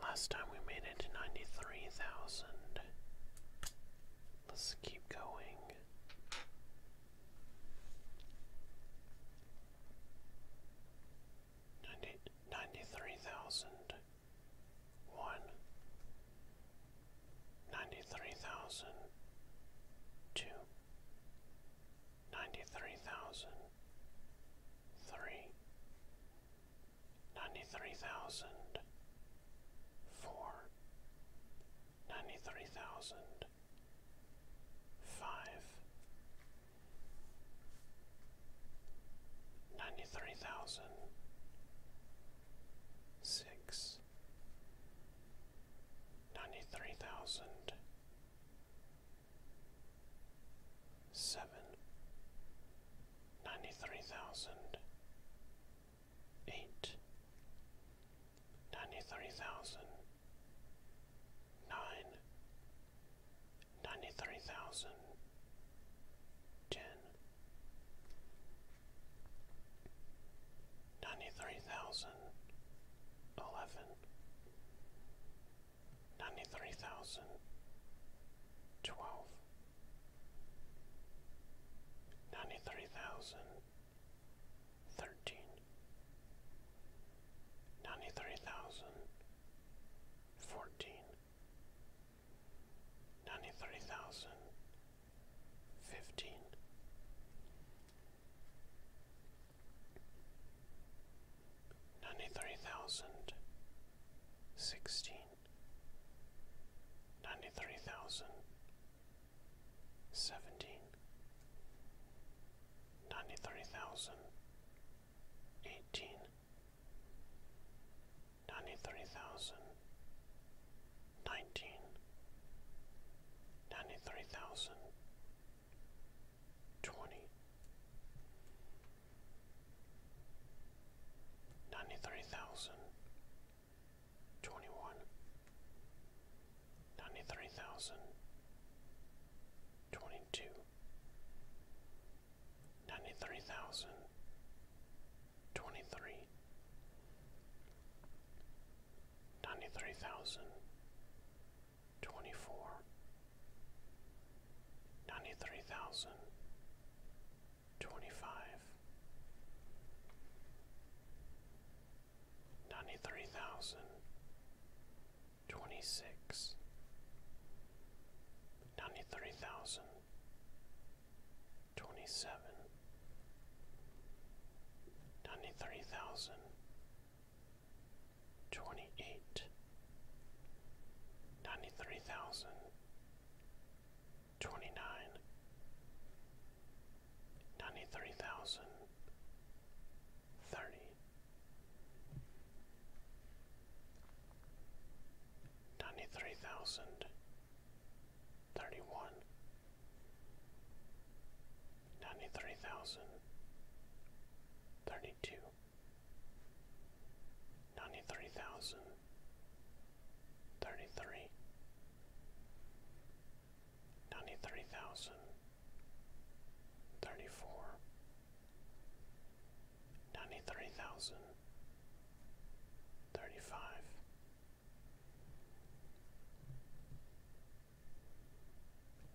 Last time we made it to 93,000. Let's keep going. Ninety ninety-three thousand one, ninety-three thousand two, ninety-three thousand Six. three ninety three thousand four ninety three thousand five ninety three thousand six ninety three thousand seven ninety three thousand eight ninety three thousand nine ninety three thousand ten ninety three thousand eleven ninety-three thousand twelve ninety-three thousand thirteen ninety-three thousand fourteen ninety-three thousand fifteen ninety-three thousand sixteen ninety-three thousand seventeen ninety-three thousand eighteen ninety-three thousand nineteen ninety-three thousand twenty ninety-three thousand twenty-one, ninety-three thousand twenty-two, ninety-three thousand twenty-three, ninety-three thousand twenty-four. 93,024 ninety-three thousand twenty-five ninety-three thousand twenty-six ninety-three thousand twenty-seven ninety-three thousand twenty-eight ninety-three thousand twenty-nine, ninety-three thousand thirty, ninety-three thousand thirty-one, ninety-three thousand thirty-two ninety-three thousand thirty-three ninety-three thousand thirty-four ninety-three thousand thirty-five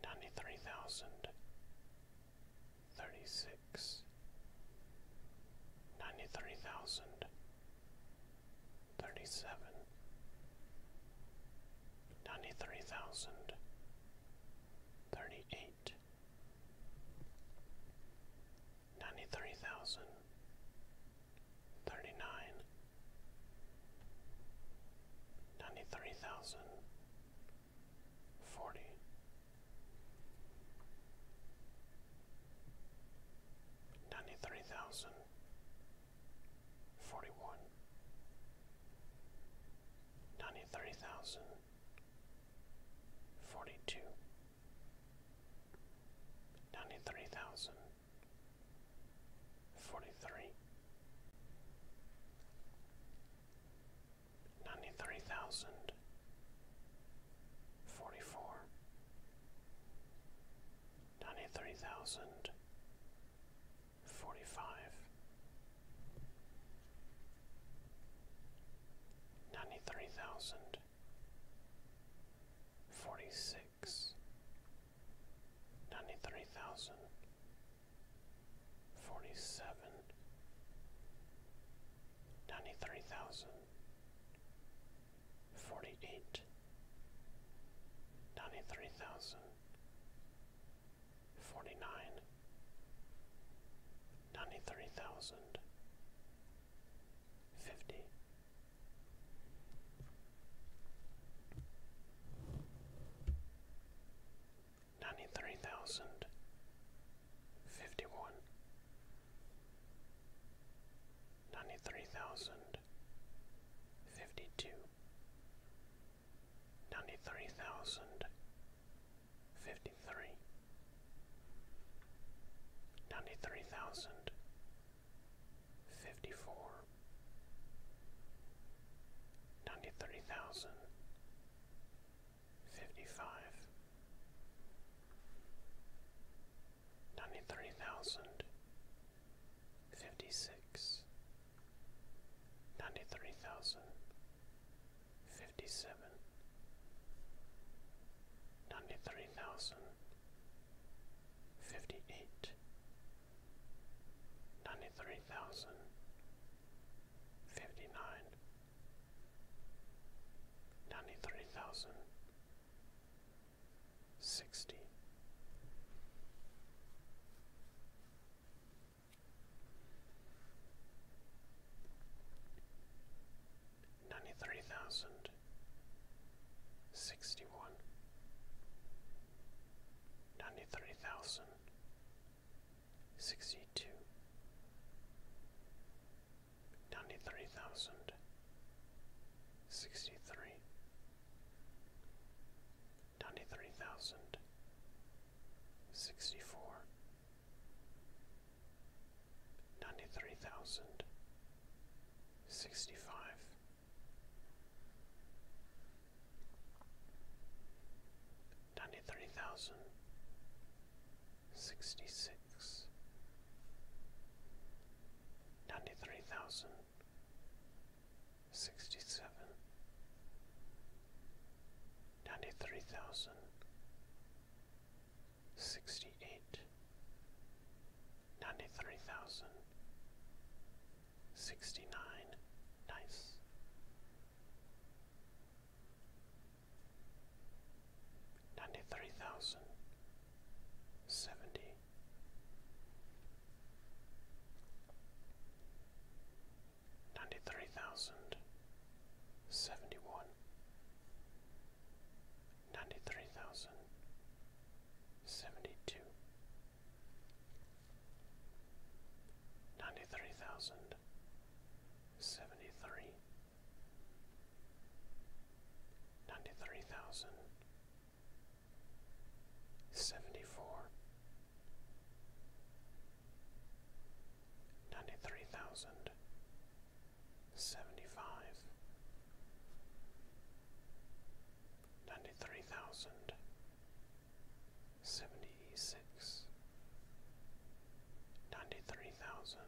Ninety-three thousand thirty six, ninety three thousand, thirty seven, ninety three thousand, thirty eight, ninety three thousand, thirty nine, ninety three thousand. 40 93000 41 93000 42 93000 43 ninety-three thousand forty-four ninety-three thousand forty-five ninety-three thousand forty-six ninety-three thousand forty-seven ninety-three thousand forty-eight ninety-three thousand forty-nine ninety-three thousand fifty ninety-three thousand Fifty-one. Fifty-two. Fifty-three. Fifty-four. fifty one ninety three thousand fifty two ninety three thousand fifty three ninety three thousand fifty four ninety three thousand Fifty-five. thousand. Fifty-six. thousand. Fifty-seven. thousand. Fifty-eight. thousand. Fifty-nine ninety three thousand sixty ninety three thousand sixty one ninety three thousand sixty two ninety-three thousand sixty-three ninety-three thousand sixty-four ninety-three thousand sixty-five ninety-three thousand sixty six ninety three thousand sixty seven ninety three thousand sixty eight ninety three thousand sixty nine nice ninety-three thousand seventy ninety-three thousand seventy-one ninety-three thousand seventy-two Ninety-three thousand seventy-three, ninety-three thousand seventy-four ninety-three thousand seventy-five ninety-three thousand seventy-six ninety-three thousand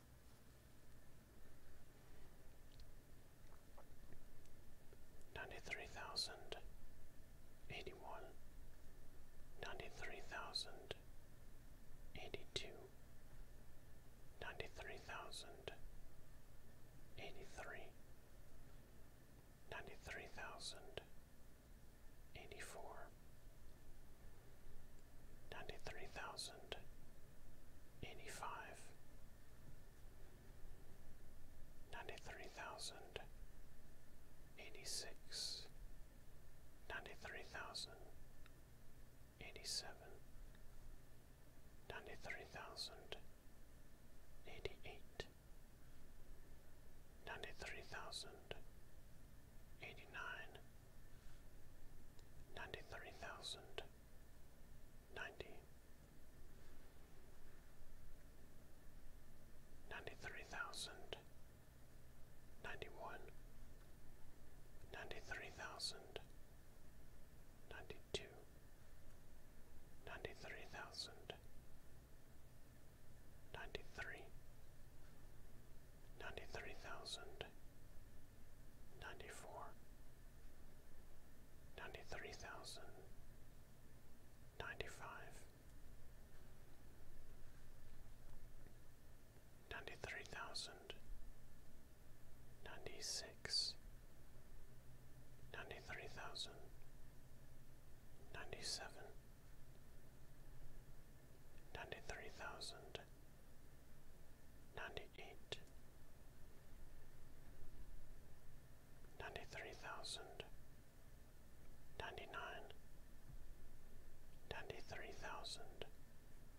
Ninety-three thousand eighty-one, ninety-three thousand eighty-two, ninety-three thousand eighty-three, ninety-three thousand eighty-four, ninety-three thousand thousand eighty five ninety three thousand eighty six ninety three thousand eighty seven ninety three thousand eighty eight ninety three thousand eighty nine ninety three thousand ninety ninety three thousand ninety one ninety three thousand ninety two ninety three thousand ninety three ninety three thousand ninety-four, ninety-three thousand, ninety-five, ninety-three thousand, ninety-six, ninety-three thousand, ninety-seven, ninety-three thousand, ninety eight ninety three thousand ninety nine ninety three thousand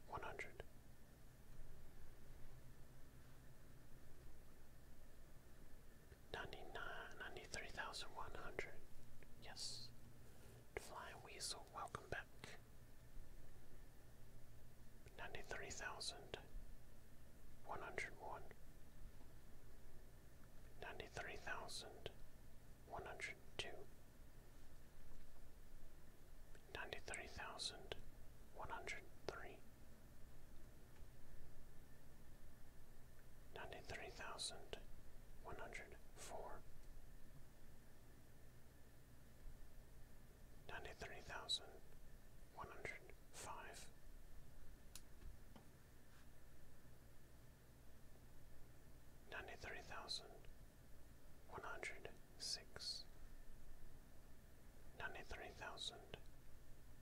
one hundred ninety nine ninety three thousand one hundred yes flying weasel welcome back ninety-three thousand one hundred one, ninety-three thousand one hundred two, ninety-three thousand one hundred three, ninety-three thousand one hundred four ninety-three thousand one hundred five. Ninety-three thousand one hundred six, ninety-three thousand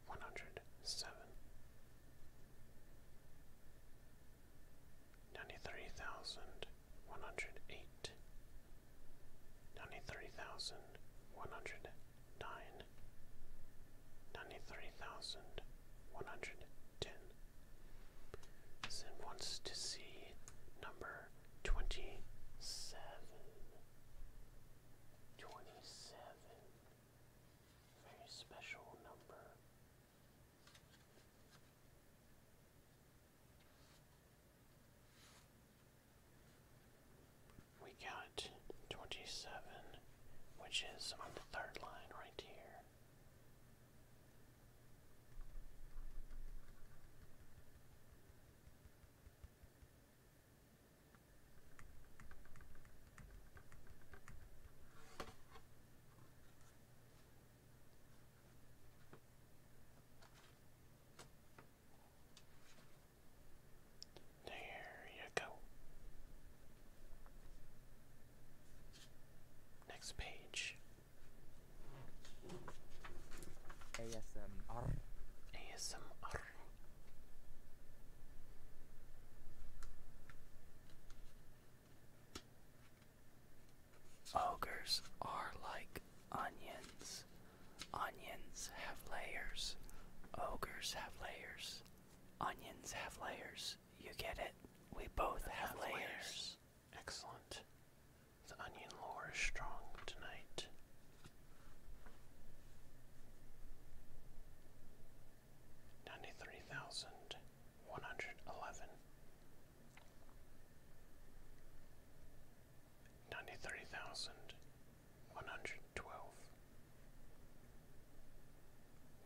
one hundred seven, ninety-three thousand one hundred eight, ninety-three thousand one hundred nine, ninety-three thousand one hundred ten. Zen wants to see number twenty-seven. Twenty-seven. Very special number. We got 27, which is on the third line right here. There you go. Next page. ASMR. Ogres are like onions. Onions have layers. Ogres have layers. Onions have layers. You get it? We both have, layers. layers. Excellent. The onion lore is strong tonight. Ninety three thousand one hundred eleven. Ninety three thousand one hundred twelve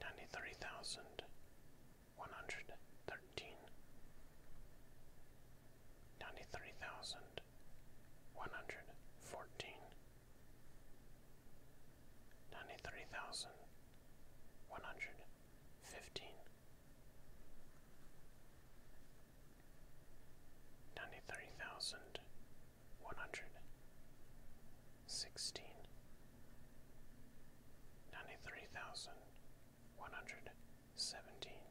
ninety three thousand one hundred thirteen ninety three thousand one hundred fourteen ninety three thousand one hundred fifteen ninety-three thousand one hundred sixteen ninety-three thousand one hundred seventeen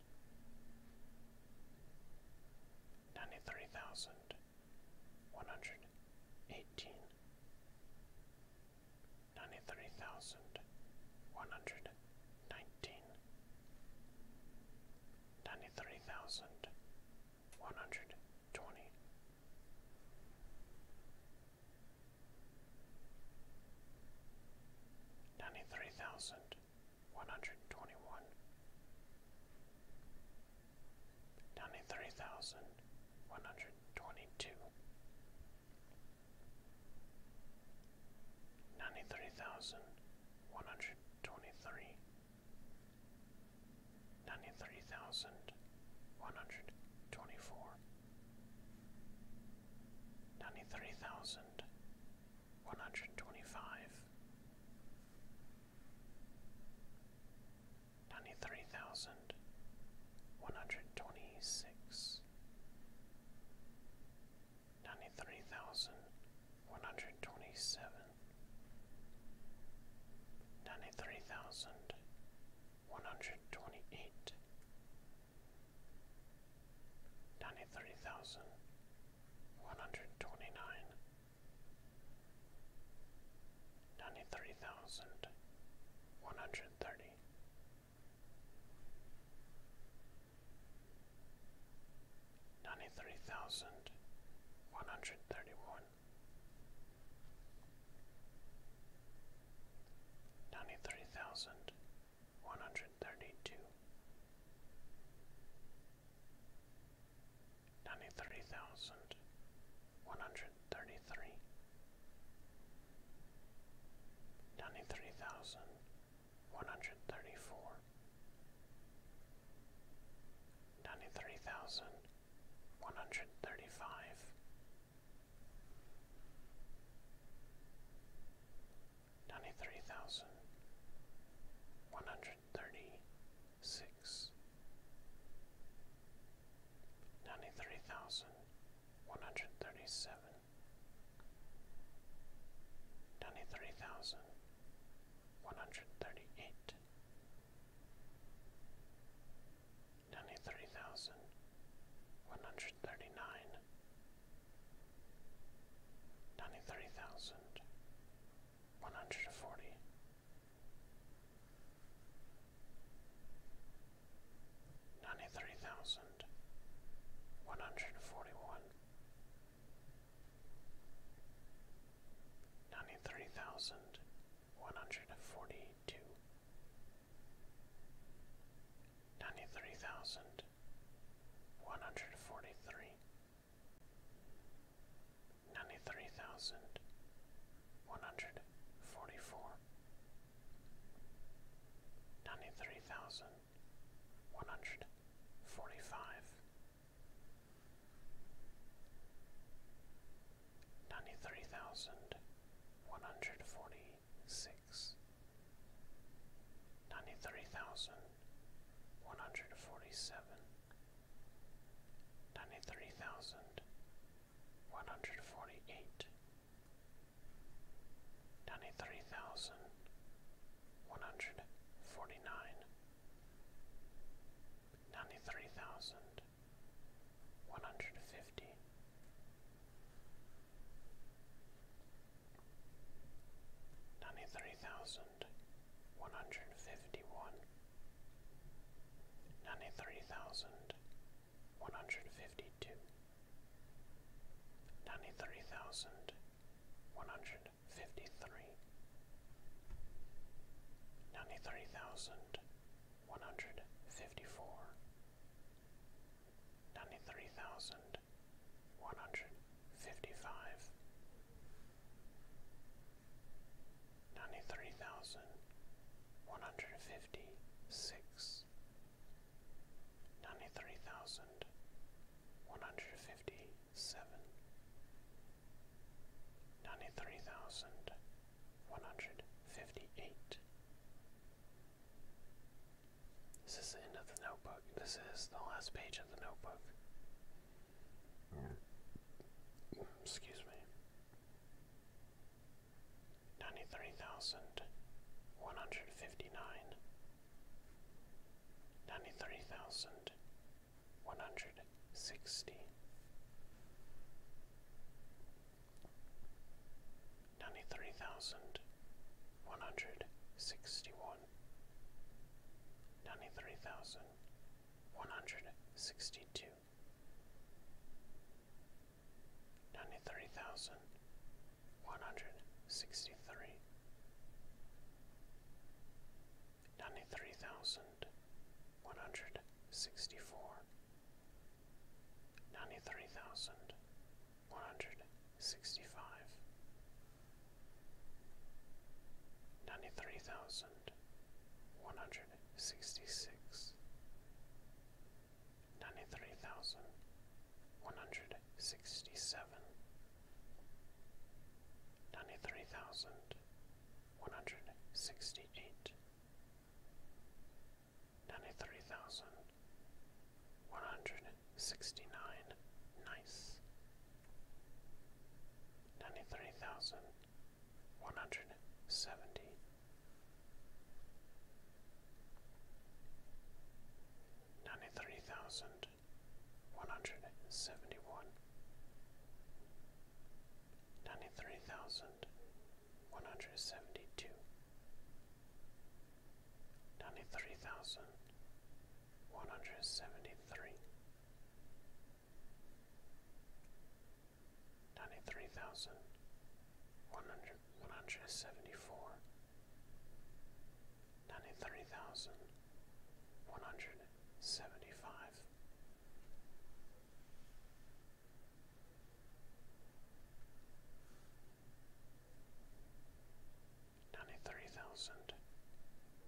ninety-three thousand one hundred eighteen ninety-three thousand one hundred nineteen ninety-three thousand one hundred twenty. Ninety-three thousand one hundred twenty-one, ninety-three thousand one hundred twenty-two, ninety-three thousand one hundred twenty-three, ninety-three thousand one hundred twenty-four, ninety-three thousand one hundred twenty-five, ninety-three thousand one hundred twenty-six ninety-three thousand one hundred twenty-seven, ninety-three thousand one hundred twenty-eight, ninety-three thousand one hundred twenty-nine, ninety-three thousand one hundred thirty ninety-three thousand one hundred thirty-one, ninety-three thousand one hundred thirty-two, ninety-three thousand one hundred thirty-three, ninety-three thousand 134 93135 93136 93137 93138 138 93000 139 93000 140 93,141 ninety-three thousand one hundred forty-two, ninety-three thousand one hundred forty-three, ninety-three thousand one hundred forty-four, ninety-three thousand one hundred forty-five ninety-three thousand one hundred forty-six, ninety-three thousand one hundred forty-seven, ninety-three thousand one hundred forty-eight, ninety-three thousand one hundred forty-nine ninety-three thousand one hundred fifty. Ninety-three thousand one hundred fifty-one, ninety-three thousand one hundred fifty-two, ninety-three thousand one hundred fifty-three, ninety-three thousand one hundred fifty-four, ninety-three thousand one hundred fifty-five, ninety-three thousand one hundred fifty-six, ninety-three thousand one hundred fifty seven ninety three thousand one hundred fifty eight. This is the end of the notebook. This is the last page of the notebook. Excuse me. Ninety three thousand one hundred fifty nine. Ninety three thousand one hundred sixty ninety three thousand one hundred sixty one ninety three thousand one hundred sixty two ninety three thousand one hundred sixty three ninety-three thousand one hundred sixty-four, ninety-three thousand one hundred sixty-five, ninety-three thousand one hundred sixty-six, ninety-three thousand one hundred sixty-seven, ninety-three thousand one hundred sixty eight, ninety three thousand one hundred sixty nine nice ninety three thousand one hundred seventy ninety three thousand one hundred seventy one ninety-three thousand one hundred seventy-two, ninety-three thousand one hundred seventy-three, ninety-three thousand one hundred one hundred seventy-four, ninety-three thousand one hundred seventy five. Ninety three thousand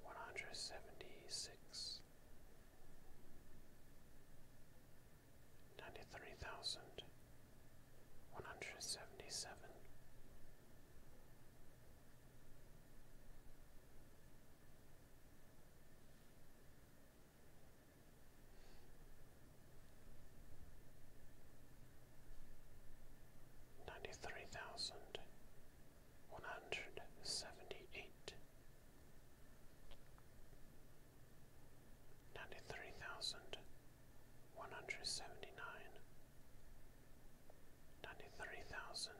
one hundred seventy six, ninety three thousand one hundred seventy seven, ninety three thousand one hundred seventy eight ninety three thousand one hundred seventy nine ninety three thousand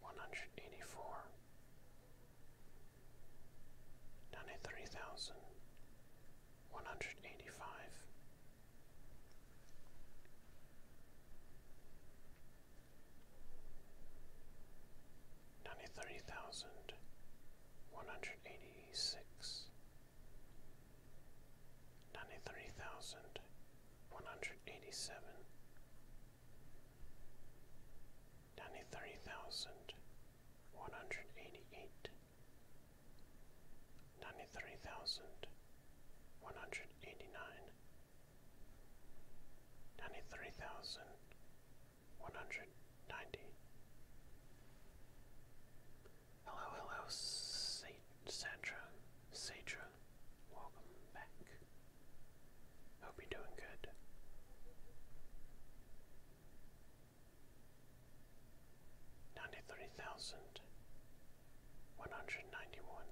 One hundred one hundred eighty four, ninety three thousand one hundred eighty five, ninety three thousand one hundred eighty six, ninety three thousand one hundred eighty seven ninety-three thousand one hundred eighty-eight, ninety-three thousand one hundred eighty-nine, ninety-three thousand one hundred ninety. Hello, hello, Sandra, Sadra, Ninja, welcome back. Hope you're doing good. Ninety-three thousand one hundred ninety-one.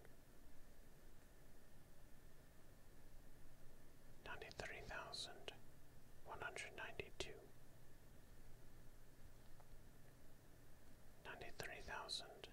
Ninety-three thousand one hundred ninety-two. Ninety-three thousand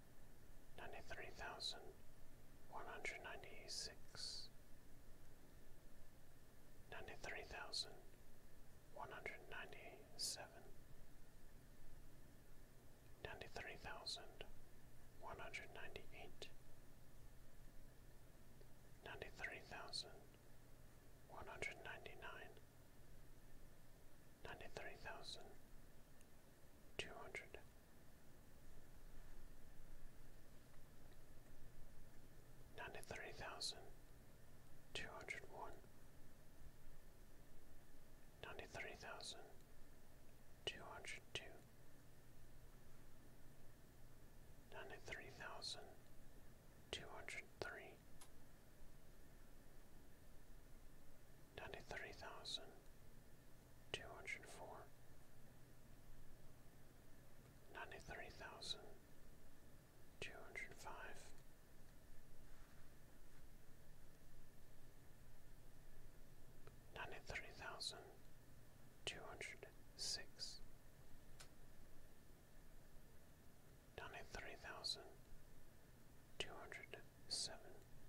ninety-three thousand one hundred ninety-six, ninety-three thousand one hundred ninety-seven, ninety-three thousand one hundred ninety-eight, ninety-three thousand one hundred ninety-nine, ninety-three thousand two hundred Ninety-three thousand two hundred one, ninety-three thousand two hundred two, ninety-three thousand two hundred three, ninety-three thousand two hundred four, ninety three thousand two hundred five, ninety three thousand two hundred six, ninety three thousand two hundred seven. 93,206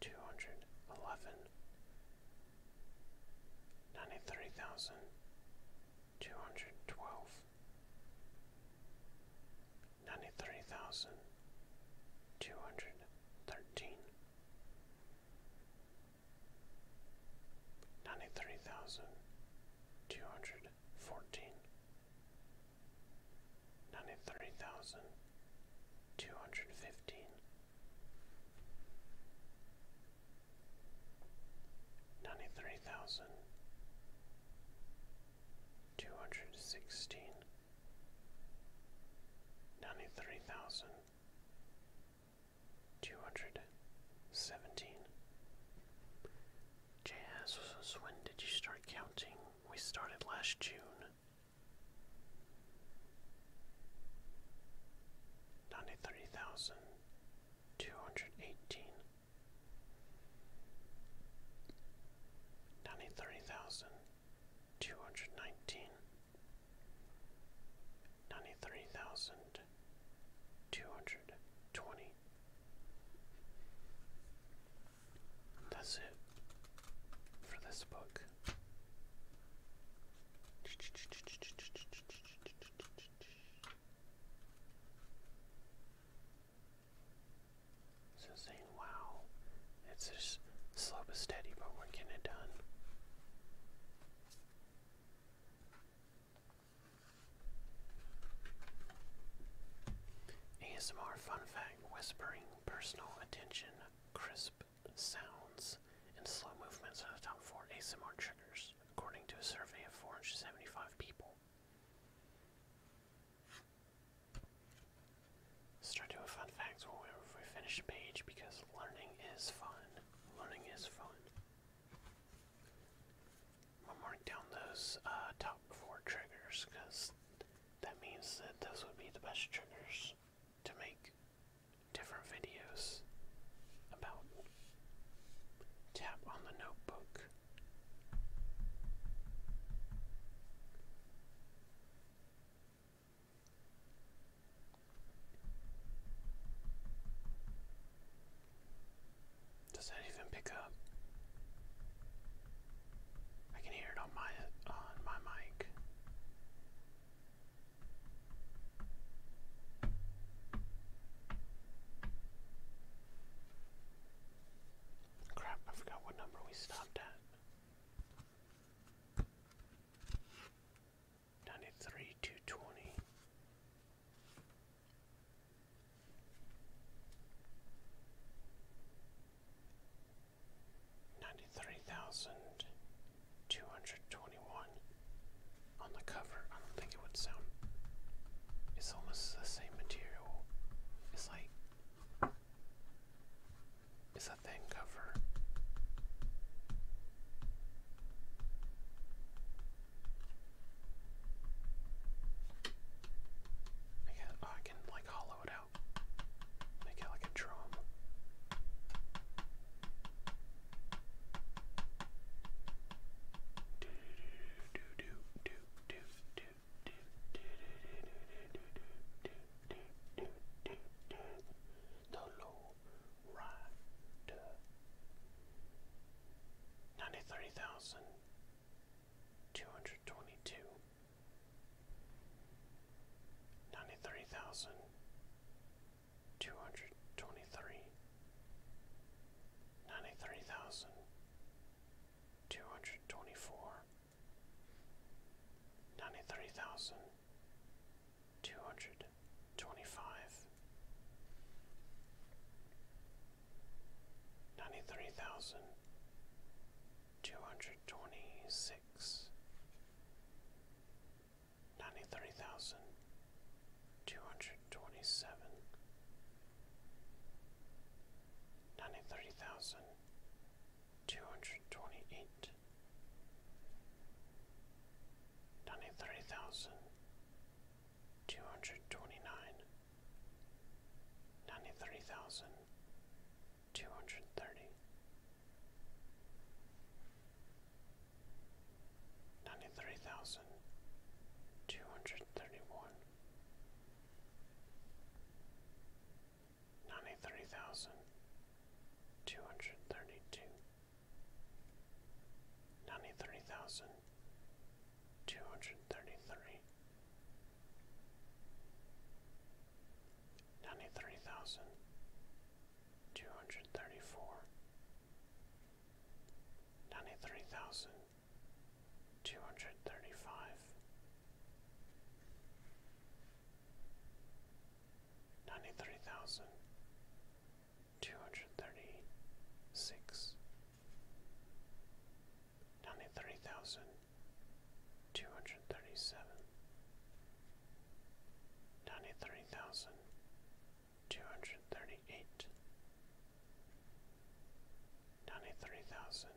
two hundred eleven, ninety three thousand two hundred twelve, ninety three thousand two hundred thirteen, ninety three thousand two hundred fourteen, ninety three thousand Two hundred fifteen. Ninety-three thousand. Two hundred two hundred fifteen, ninety three thousand, two hundred sixteen, ninety three thousand, two hundred seventeen. Jazz, when did you start counting? We started last June. Ninety-three thousand two hundred eighteen. Ninety-three thousand two hundred nineteen. Ninety-three thousand two hundred twenty. That's it for this book. So saying, wow, it's just slow but steady, but we're getting it done. ASMR fun fact, whispering, personal attention, crisp sounds and slow movements are the top four ASMR triggers, according to a survey of 475 people. Start doing fun facts when we finish a page because learning is fun. Learning is fun. I'll mark down those uh, top four triggers because that means that those would be the best triggers to make different videos about tap on the notebook. Does that even pick up? I can hear it on my on my mic. Crap, I forgot what number we stopped at. 93 220. 93,221 on the cover. I don't think it would sound. It's almost the same material. It's like. It's a thin cover. I oh, I can like hollow it out. Make it like a drum. Do do do do do do do do do do do do do the low rider. Ninety-three thousand two hundred twenty-two ninety-three thousand two hundred twenty-three, ninety-three thousand two hundred twenty-four, ninety-three thousand two hundred twenty-five, ninety-three thousand two hundred twenty-six six ninety three thousand two hundred twenty seven ninety three thousand two hundred twenty eight ninety three thousand two hundred twenty nine ninety three thousand two hundred thirty, ninety three thousand two hundred thirty one, ninety three thousand two hundred thirty two, ninety three thousand two hundred thirty three. Ninety three thousand two hundred thirty four, ninety three thousand two hundred thirty five, ninety three thousand two hundred thirty six, ninety three thousand two hundred thirty seven. 93,236 Ninety-three thousand two hundred thirty-eight. Ninety-three thousand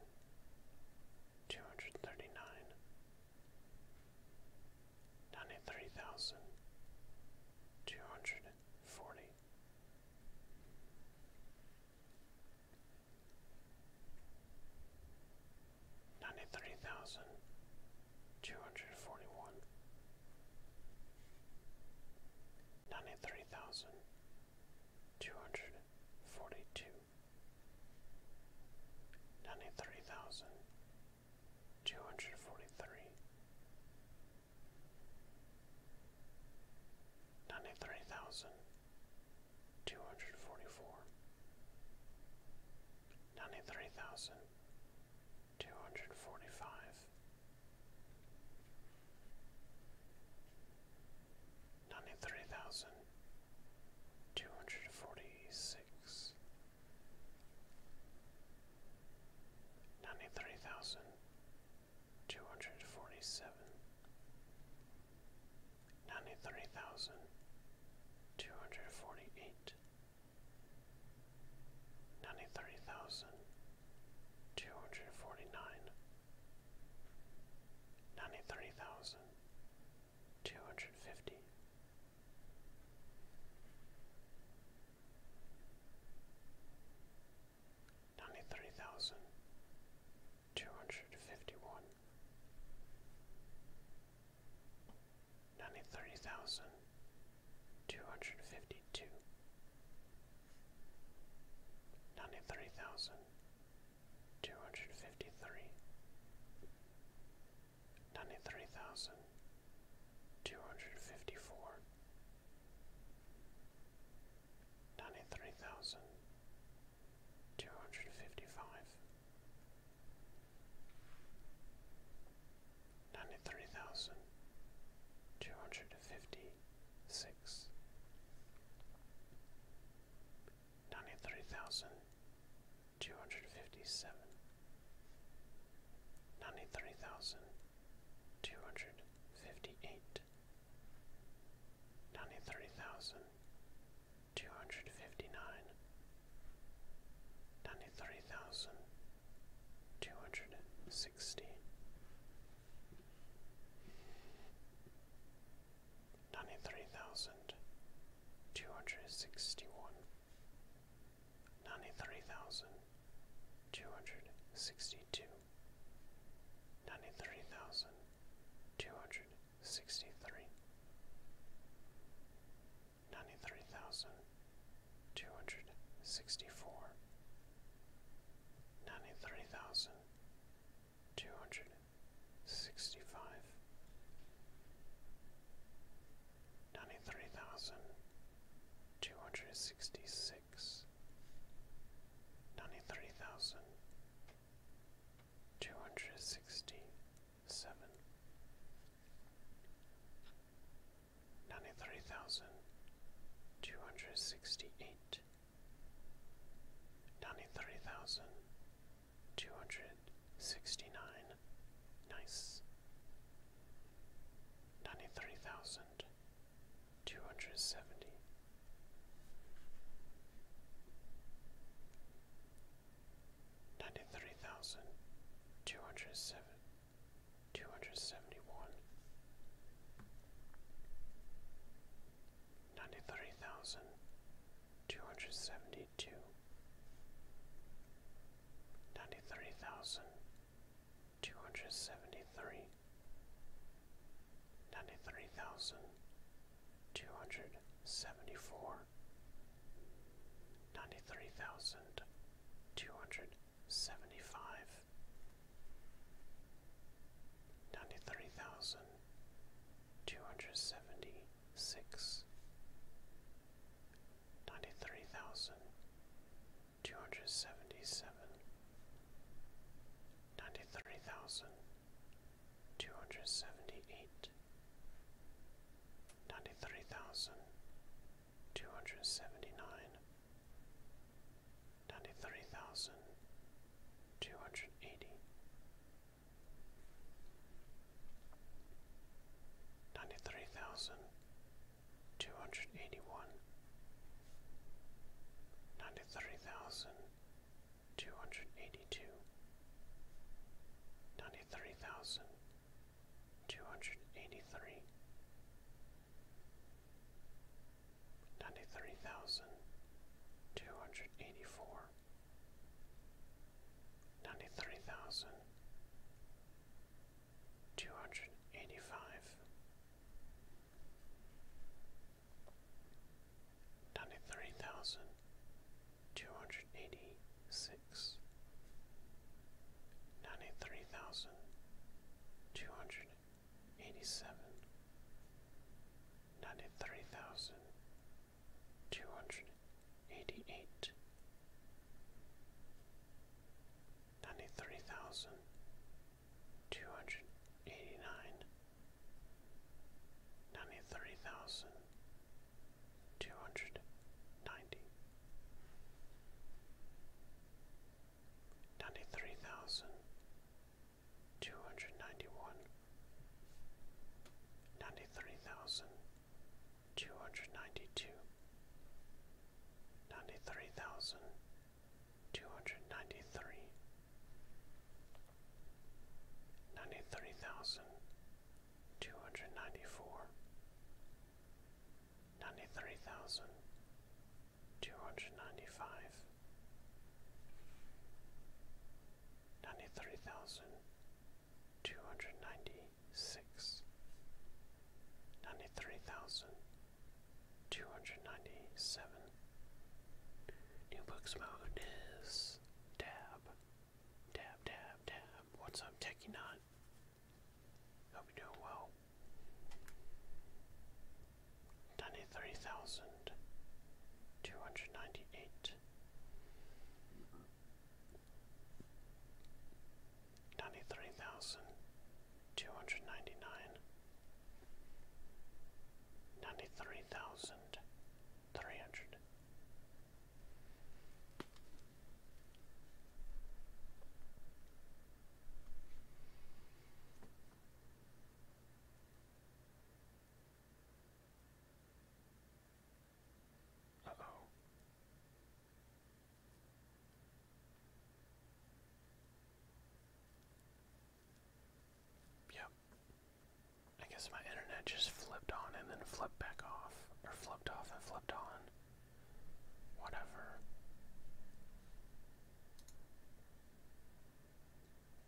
two hundred thirty-nine. Ninety-three thousand two hundred forty. Ninety-three thousand two hundred forty-one. Ninety-three thousand two hundred forty-two. Ninety-three thousand two hundred forty-three. Ninety-three thousand two hundred forty-four ninety-three thousand two hundred forty-five, ninety-three thousand two hundred forty-six, ninety-three thousand two hundred forty-seven, ninety-three thousand two hundred forty-eight. 93,249 ninety-three thousand two hundred forty-nine, ninety-three thousand two hundred fifty. Ninety-three thousand two hundred fifty-one, ninety-three thousand two hundred fifty-two, ninety-three thousand two hundred fifty-three, ninety-three thousand two hundred fifty-four, ninety-three thousand two hundred fifty-five ninety-three thousand two hundred fifty-six, ninety-three thousand two hundred fifty-seven, ninety-three thousand two hundred fifty-eight, ninety-three thousand two hundred fifty-nine ninety-three thousand two hundred and sixty ninety-three thousand two hundred and sixty-one ninety-three thousand two hundred and sixty-two ninety-three thousand two hundred and sixty-three Ninety-three thousand two hundred sixty-four. Ninety-three thousand two hundred sixty-five. Ninety-three thousand two hundred sixty-six. ninety-three thousand two hundred sixty-four, ninety-three thousand two hundred sixty-five, ninety-three thousand two hundred sixty-six, ninety-three thousand two hundred sixty two hundred sixty-eight. Ninety-three thousand two hundred sixty-nine. nice ninety three thousand two hundred seventy ninety-three thousand two hundred seven two hundred seventy-one ninety-three thousand two hundred seventy-two ninety-three thousand two hundred seventy-three ninety-three thousand two hundred seventy-four Ninety-three thousand two hundred seventy-five. Ninety-three thousand two hundred seventy-seven. Ninety-three thousand thousand two hundred seventy-seven, ninety-three thousand two hundred seventy-eight. Ninety-three thousand Two hundred Two hundred Two hundred two hundred seventy nine, ninety three thousand two hundred eighty, ninety three thousand two hundred eighty one, ninety three thousand two hundred eighty two, ninety three thousand Two hundred Two hundred Two hundred two hundred eighty three, ninety three thousand two hundred eighty four, ninety three thousand two hundred eighty five, ninety three thousand two hundred eighty six ninety three thousand two hundred eighty seven ninety three thousand two hundred eighty eight ninety three thousand two hundred eighty nine ninety three thousand two hundred ninety ninety three thousand two hundred ninety one ninety three thousand two hundred ninety two ninety three thousand two hundred ninety three ninety three thousand two hundred ninety four ninety-three thousand two hundred ninety-five, ninety-three thousand two hundred ninety-six, ninety-three thousand two hundred ninety-seven. New books mode is tab, tab, tab, tab. What's up, Techie Knot? Hope you're doing well. Ninety-three thousand two hundred ninety-eight. Ninety-three thousand two hundred ninety-nine. Ninety-three thousand three hundred. Uh oh. Yep. I guess my internet just flipped on and then flipped back off, or flipped off and flipped on. Whatever.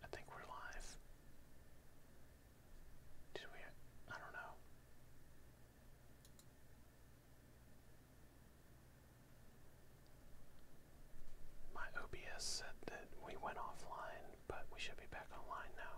I think we're live. Did we? I don't know. My OBS said that we went offline, but we should be back online now.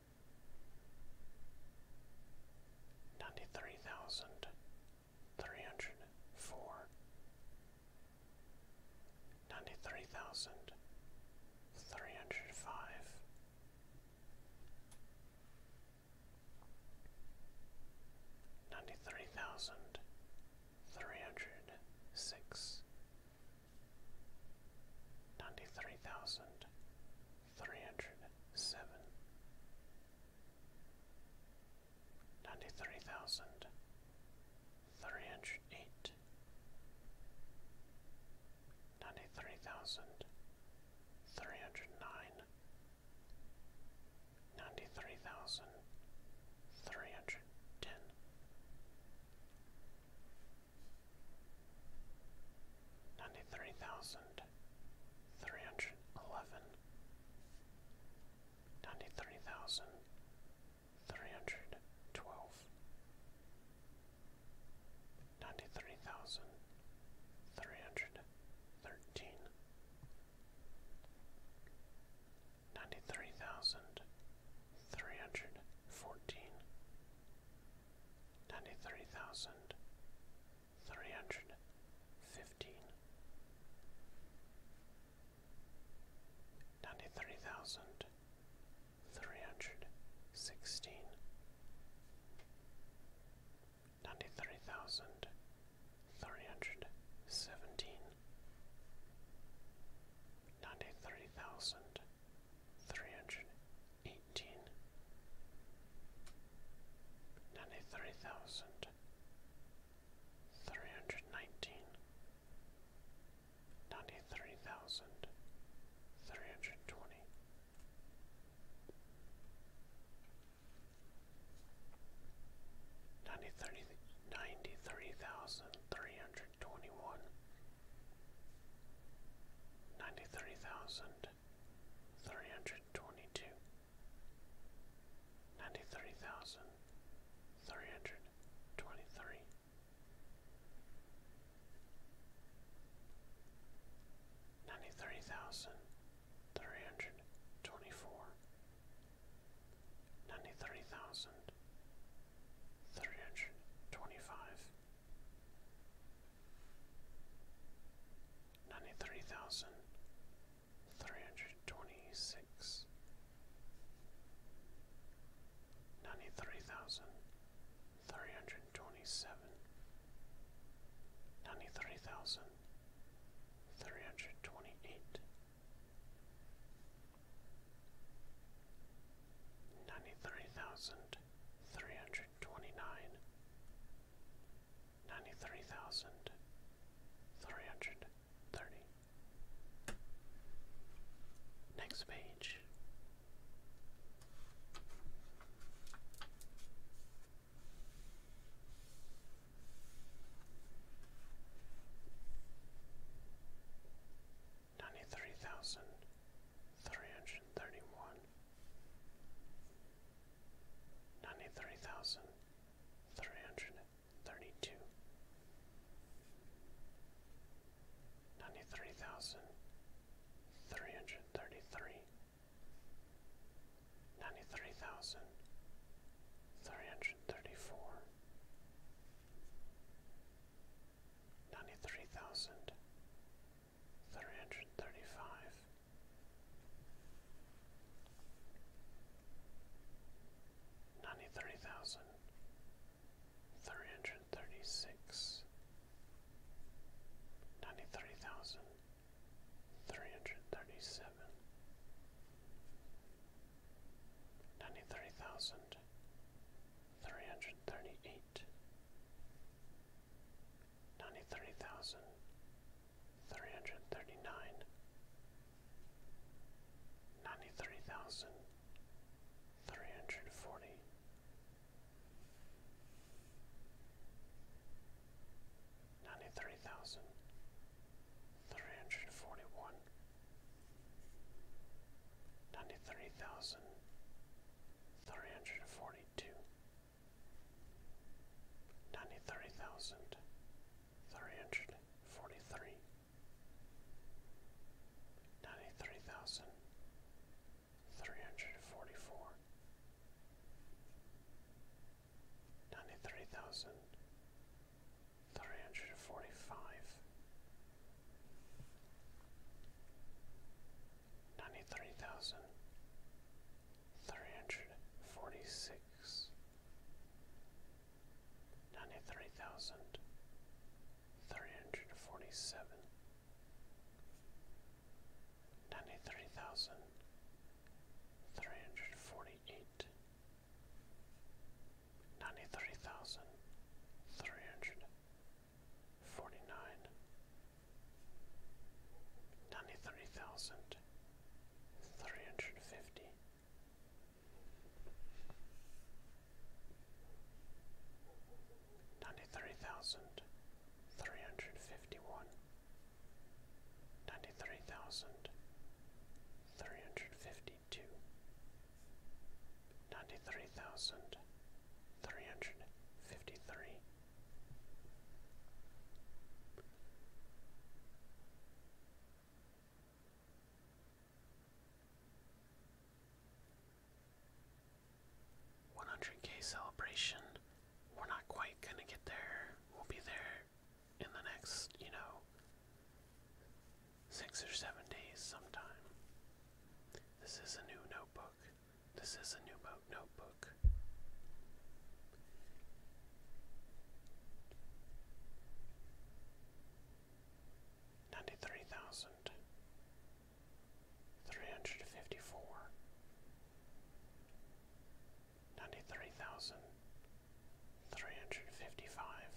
ninety-three thousand three hundred four, ninety-three thousand three hundred five, ninety-three thousand three hundred six, ninety-three thousand three hundred seven ninety three thousand three hundred eight ninety three thousand three hundred nine ninety three thousand three hundred ten ninety-three thousand three hundred eleven, ninety-three thousand three hundred twelve, ninety-three thousand three hundred thirteen, ninety-three thousand three hundred fourteen, ninety-three thousand three hundred fifteen ninety three thousand three hundred sixteen ninety three thousand three hundred seventeen ninety three thousand three hundred eighteen ninety three thousand three hundred nineteen ninety three thousand three hundred twenty ninety three ninety three thousand three hundred twenty one Ninety three thousand Three hundred twenty-two. Ninety-three three hundred twenty two, ninety three thousand three hundred twenty three. Ninety three thousand three hundred twenty four, ninety three thousand three hundred twenty five, Ninety-three thousand three hundred twenty-six, ninety-three thousand three hundred twenty-seven, ninety-three thousand three hundred twenty-eight, ninety-three thousand three hundred hundred twenty nine, ninety three thousand three hundred thirty. Next page. Ninety three thousand three hundred thirty one, ninety-three thousand three hundred thirty-two, ninety-three thousand three hundred thirty-three, ninety-three thousand three hundred thirty-four, ninety-three thousand three hundred thirty five, ninety three thousand, three hundred thirty six, ninety three thousand, three hundred thirty seven, ninety three thousand, three hundred thirty eight. Ninety three thousand Three hundred Three hundred three hundred thirty nine, ninety three thousand three hundred forty. Ninety three Three hundred forty-two ninety-three thousand three hundred forty-three, ninety-three thousand three hundred forty-four, ninety-three thousand three hundred forty-five. Ninety-three thousand Three hundred forty-six. Ninety-three hundred forty-seven. Ninety-three thousand. Three thousand. Three three hundred forty six ninety three thousand three hundred forty seven ninety three thousand three hundred forty eight ninety three thousand three hundred forty nine ninety-three thousand three hundred and fifty ninety-three thousand three hundred and fifty-one ninety-three thousand three hundred and fifty-two ninety-three thousand three hundred and fifty-three one hundred K celebration. We're not quite gonna get there. We'll be there in the next, you know, six or seven days sometime. This is a new notebook. This is a new notebook book. Ninety-three thousand three hundred fifty-four, ninety-three thousand three hundred fifty-five,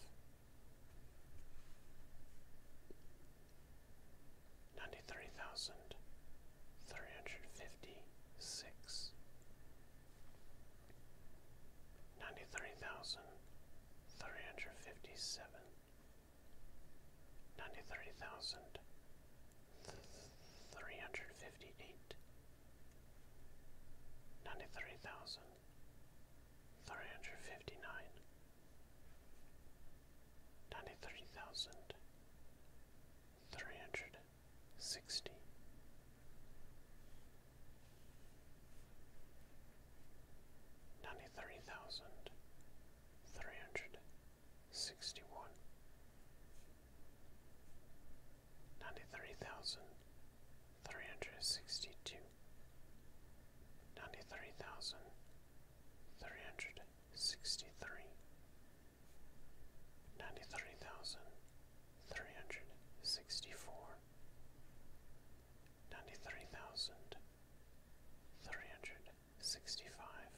ninety-three thousand thousand three hundred fifty six ninety three thousand three hundred fifty seven ninety three thousand three hundred fifty eight ninety three thousand three hundred fifty nine Ninety-three thousand three hundred sixty. Ninety three thousand three hundred sixty one, ninety three thousand three hundred sixty two, ninety three thousand three hundred sixty three, Ninety-three thousand three hundred sixty-four. Ninety-three thousand three hundred sixty-five.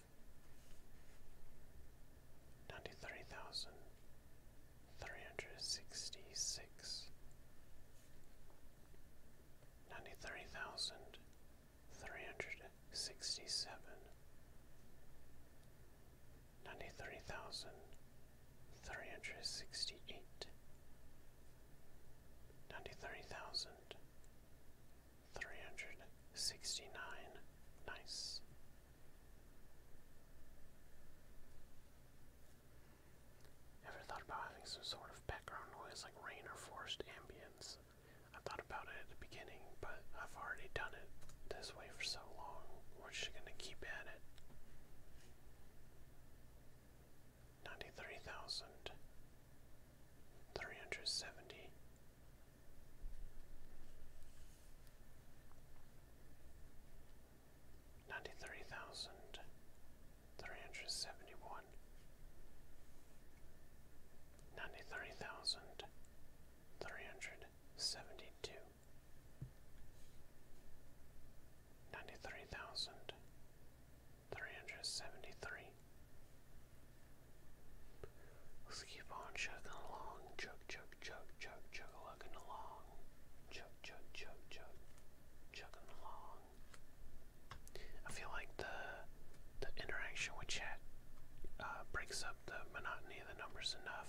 Ninety-three thousand three hundred sixty-six. Ninety-three thousand three hundred sixty-seven ninety-three thousand three hundred sixty-eight, ninety-three thousand three hundred sixty-nine. Nice. Ever thought about having some sort of background noise like rain or forest ambience? I thought about it, but I've already done it this way for so long. We're just gonna keep at it. Ninety-three thousand three hundred seventy. Ninety-three thousand three hundred seventy-one. Ninety-three thousand three hundred seventy-two ninety-three thousand three hundred seventy-three. Let's keep on chugging along, chug, chug, chug, chug, chug, lugging along, chug, chug, chug, chug, chugging along. I feel like the the interaction with chat uh, breaks up the monotony of the numbers enough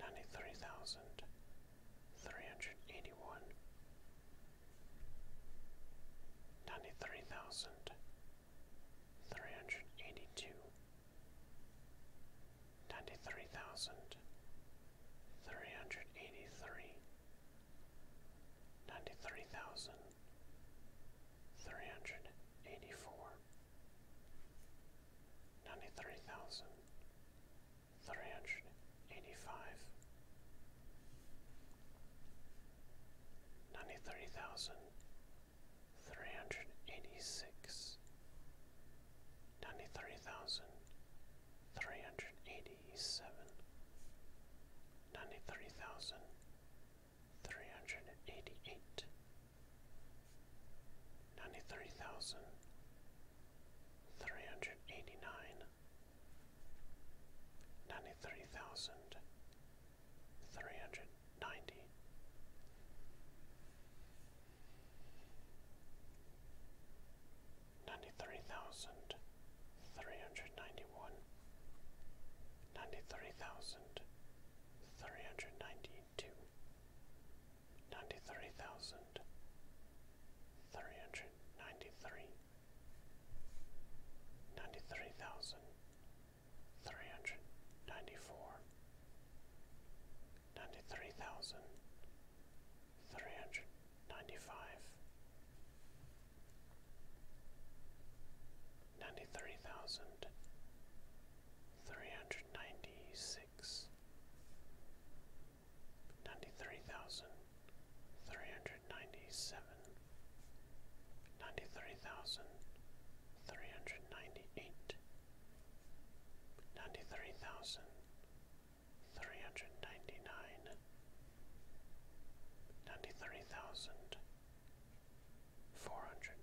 ninety-three thousand three hundred eighty-one, ninety-three thousand three hundred eighty-two, ninety-three thousand three hundred eighty-three, ninety-three thousand three hundred eighty-four ninety-three thousand three hundred eighty-five, ninety-three thousand three hundred eighty-six, ninety-three thousand three hundred eighty-seven, ninety-three thousand three hundred and eighty eight, ninety three thousand three hundred eighty nine, ninety three thousand three hundred ninety. Ninety-three thousand three hundred ninety-one, ninety-three thousand three hundred ninety, ninety-two, ninety-three thousand, three hundred ninety-three, ninety-three thousand, three hundred ninety-four, ninety-three thousand, three hundred ninety-five, ninety-three thousand three hundred ninety six ninety three thousand three hundred ninety seven ninety three thousand three hundred ninety eight ninety three thousand three hundred ninety nine ninety three thousand four hundred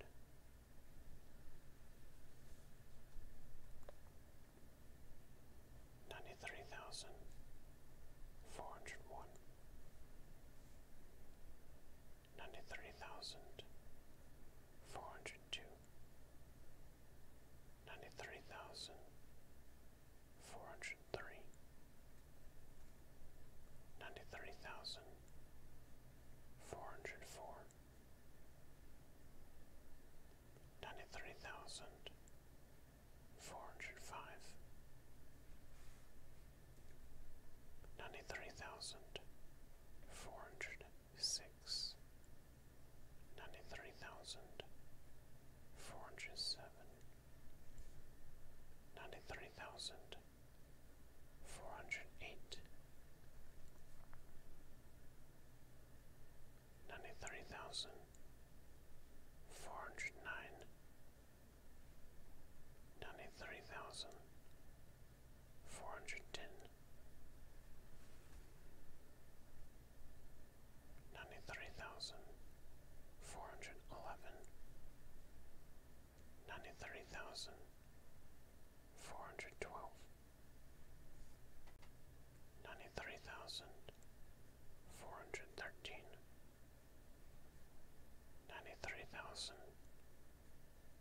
ninety three thousand four hundred one ninety three thousand four hundred two ninety three thousand four hundred three ninety three thousand four hundred four ninety-three thousand four hundred five, ninety-three thousand four hundred six, ninety-three thousand four hundred seven, ninety-three thousand four hundred eight, ninety three thousand four hundred nine, ninety three thousand four hundred ten, ninety three thousand four hundred eleven. Ninety-three thousand four hundred twelve, ninety-three thousand four hundred thirteen, ninety-three thousand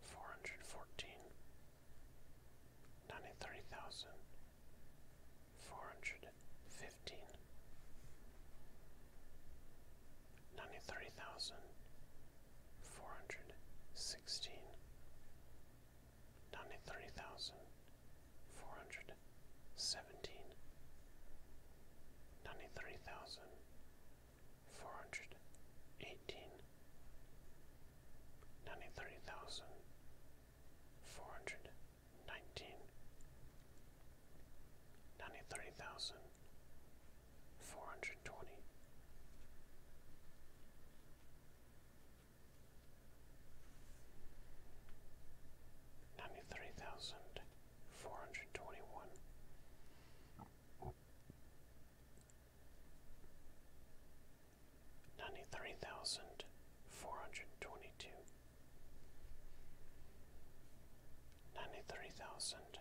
four hundred fourteen, ninety-three thousand four hundred fifteen, ninety-three thousand four hundred sixteen sixteen ninety three thousand four hundred seventeen ninety three thousand four hundred eighteen ninety three thousand four hundred nineteen ninety three thousand four hundred twenty. Ninety three thousand four hundred twenty one, ninety three thousand four hundred twenty two, ninety three thousand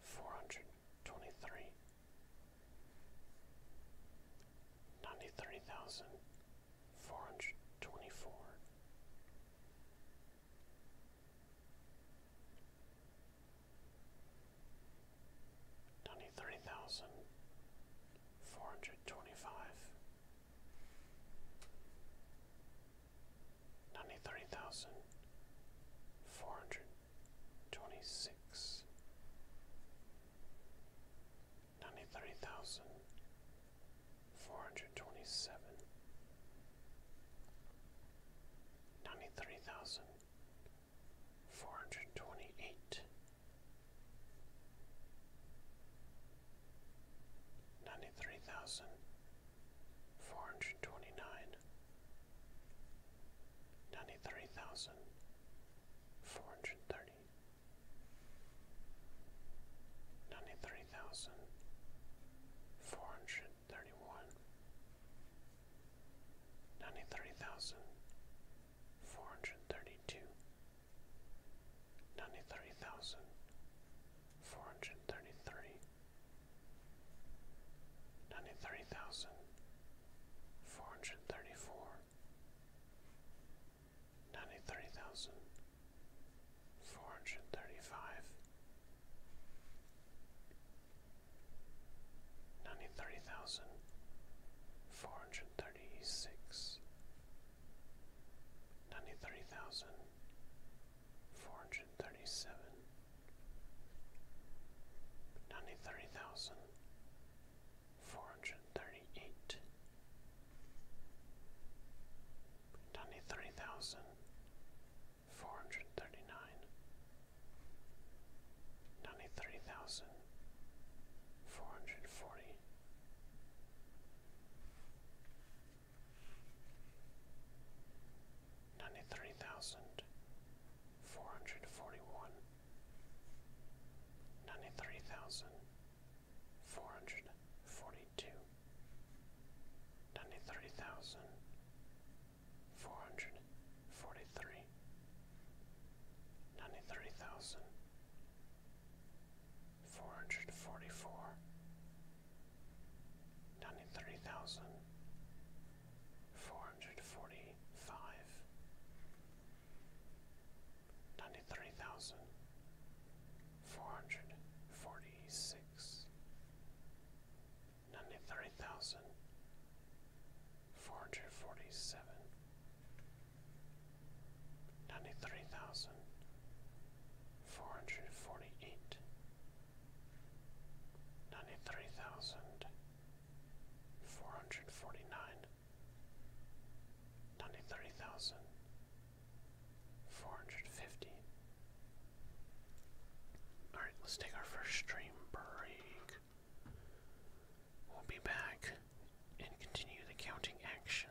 four hundred twenty three. Ninety-three thousand four hundred twenty-four, ninety-three thousand four hundred twenty-five, ninety-three thousand four hundred Twenty-six. Ninety-three thousand four twenty six ninety three thousand four hundred twenty seven ninety three thousand four hundred twenty eight Ninety three thousand four hundred twenty nine, ninety-three thousand four hundred thirty, ninety-three thousand four hundred thirty-one, ninety-three thousand four hundred thirty-two, ninety-three thousand four hundred thirty-three, ninety-three thousand four hundred thirty four ninety three thousand four hundred thirty five ninety three thousand four hundred thirty six ninety three thousand four hundred thirty seven Ninety-three thousand four hundred thirty eight, ninety three thousand four hundred thirty nine, ninety three thousand four hundred forty. Ninety three thousand four hundred forty one, ninety-three thousand four hundred forty-two, ninety-three thousand four hundred forty-three, ninety-three thousand four hundred forty-four, ninety-three thousand four hundred forty-five ninety-three thousand four hundred forty-six, ninety-three thousand four hundred forty-seven, ninety-three thousand four hundred forty-eight, ninety-three thousand four hundred forty-nine ninety-three thousand four hundred fifty. Alright, let's take our first stream break. We'll be back and continue the counting action.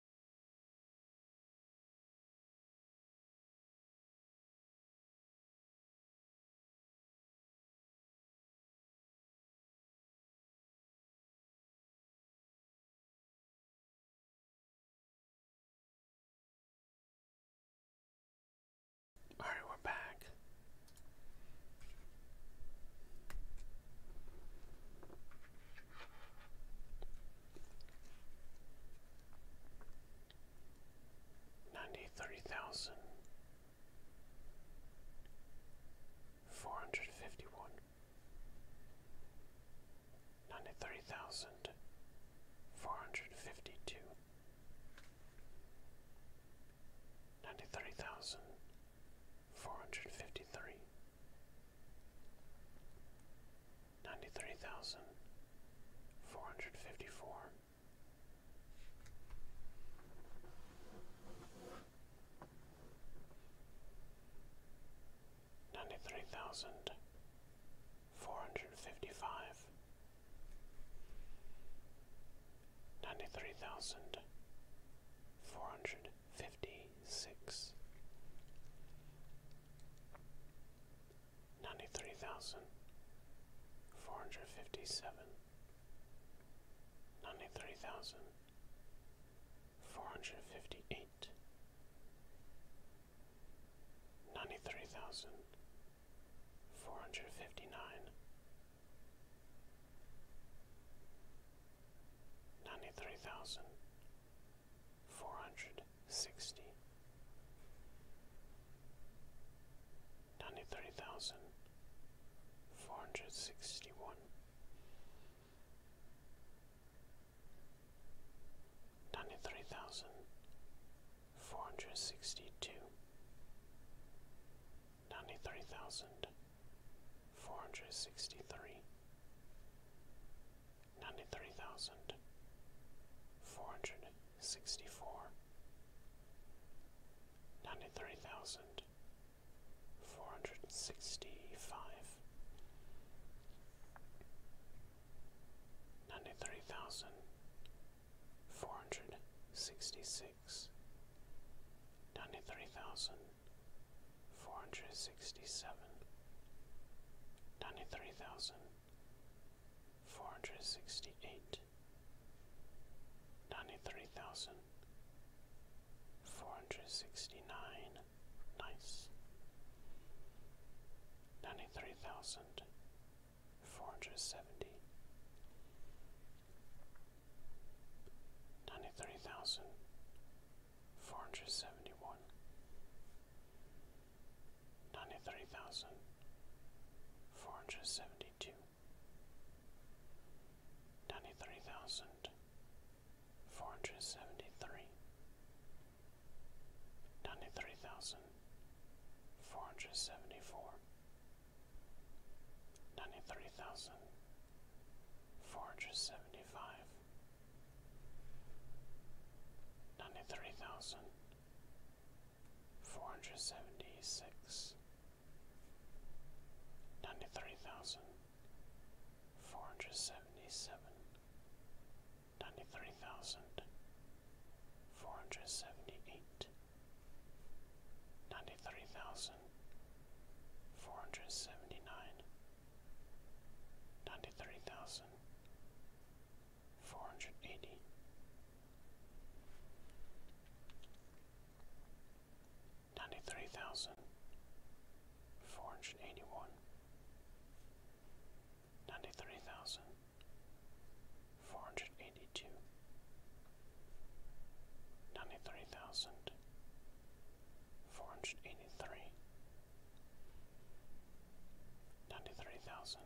All right, we're back ninety-three thousand four hundred fifty-one, ninety-three thousand four hundred fifty-two, ninety-three thousand four hundred fifty-three ninety-three thousand four hundred fifty-four. Ninety-three thousand four hundred fifty-five, ninety-three thousand four hundred fifty-six, ninety-three thousand four hundred fifty-seven, ninety-three thousand four hundred fifty-eight, ninety-three thousand four hundred fifty-nine, ninety-three thousand four hundred sixty ninety three thousand four hundred sixty one ninety three thousand four hundred sixty two ninety three thousand four hundred sixty three ninety-three thousand four hundred sixty-four, ninety-three thousand four hundred sixty-five, ninety-three thousand four hundred sixty-six, ninety-three thousand four hundred sixty-seven, ninety-three thousand four hundred sixty eight, ninety three thousand four hundred sixty nine, nice, ninety three thousand four hundred seventy, ninety three thousand four hundred seventy one ninety-three thousand four hundred seventy-two, ninety-three thousand four hundred seventy-three, ninety-three thousand four hundred seventy-four, ninety-three thousand four hundred seventy-five, ninety-three thousand four hundred seventy six, ninety three thousand, four hundred seventy seven, ninety three thousand, four hundred seventy eight, ninety three thousand, four hundred seventy nine, ninety three thousand four hundred eighty. Ninety three thousand four hundred eighty one, ninety three thousand four hundred eighty two, ninety three thousand four hundred eighty three, ninety three thousand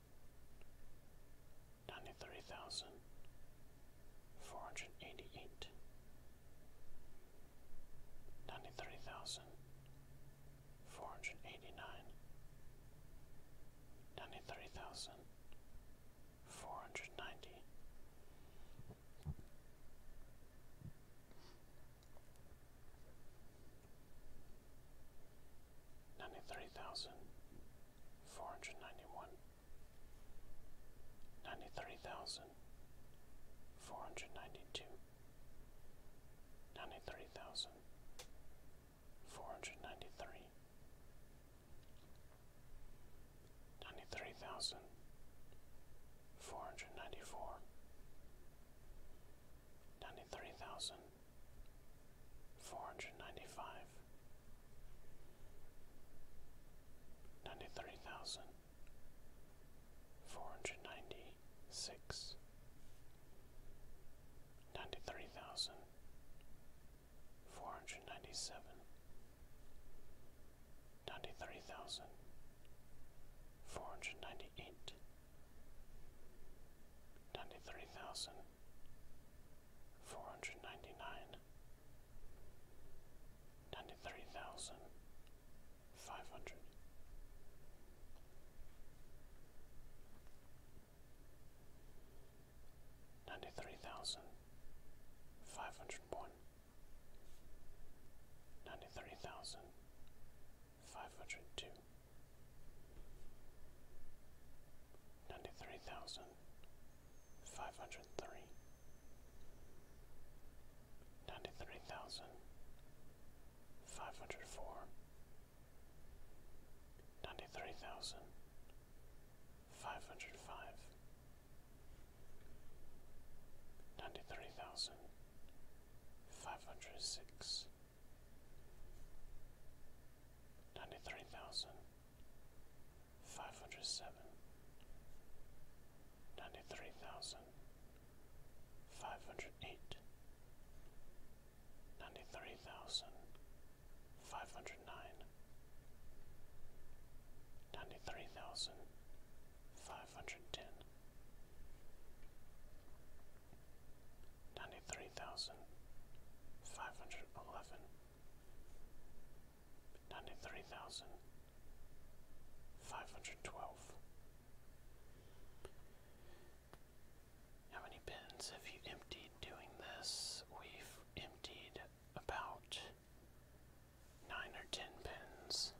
ninety-three thousand four hundred eighty-eight, ninety-three thousand four hundred eighty-nine, ninety-three thousand four hundred ninety ninety-three thousand four hundred ninety-one, ninety-three thousand four hundred ninety-two, ninety-three thousand four hundred ninety-three, ninety-three thousand four hundred ninety-four, ninety-three thousand Four hundred ninety-five. Ninety-three thousand. ninety-six. Ninety-three thousand. Four hundred Four hundred four hundred ninety seven, ninety three thousand, four hundred ninety eight. Ninety three thousand four hundred ninety nine, ninety three thousand five hundred. Ninety three thousand five hundred one, ninety three thousand five hundred two, ninety-three thousand five hundred three, ninety-three thousand five hundred four, ninety-three thousand five hundred five, ninety-three thousand five hundred six ninety-three thousand five hundred seven, ninety-three thousand five hundred eight, ninety-three thousand five hundred nine, ninety-three thousand five hundred ten. 93,511 93,512 93,513 93,514 seventy-three thousand five hundred eleven, ninety-three thousand five hundred twelve. How many bins have you emptied doing this? We've emptied about nine or ten pins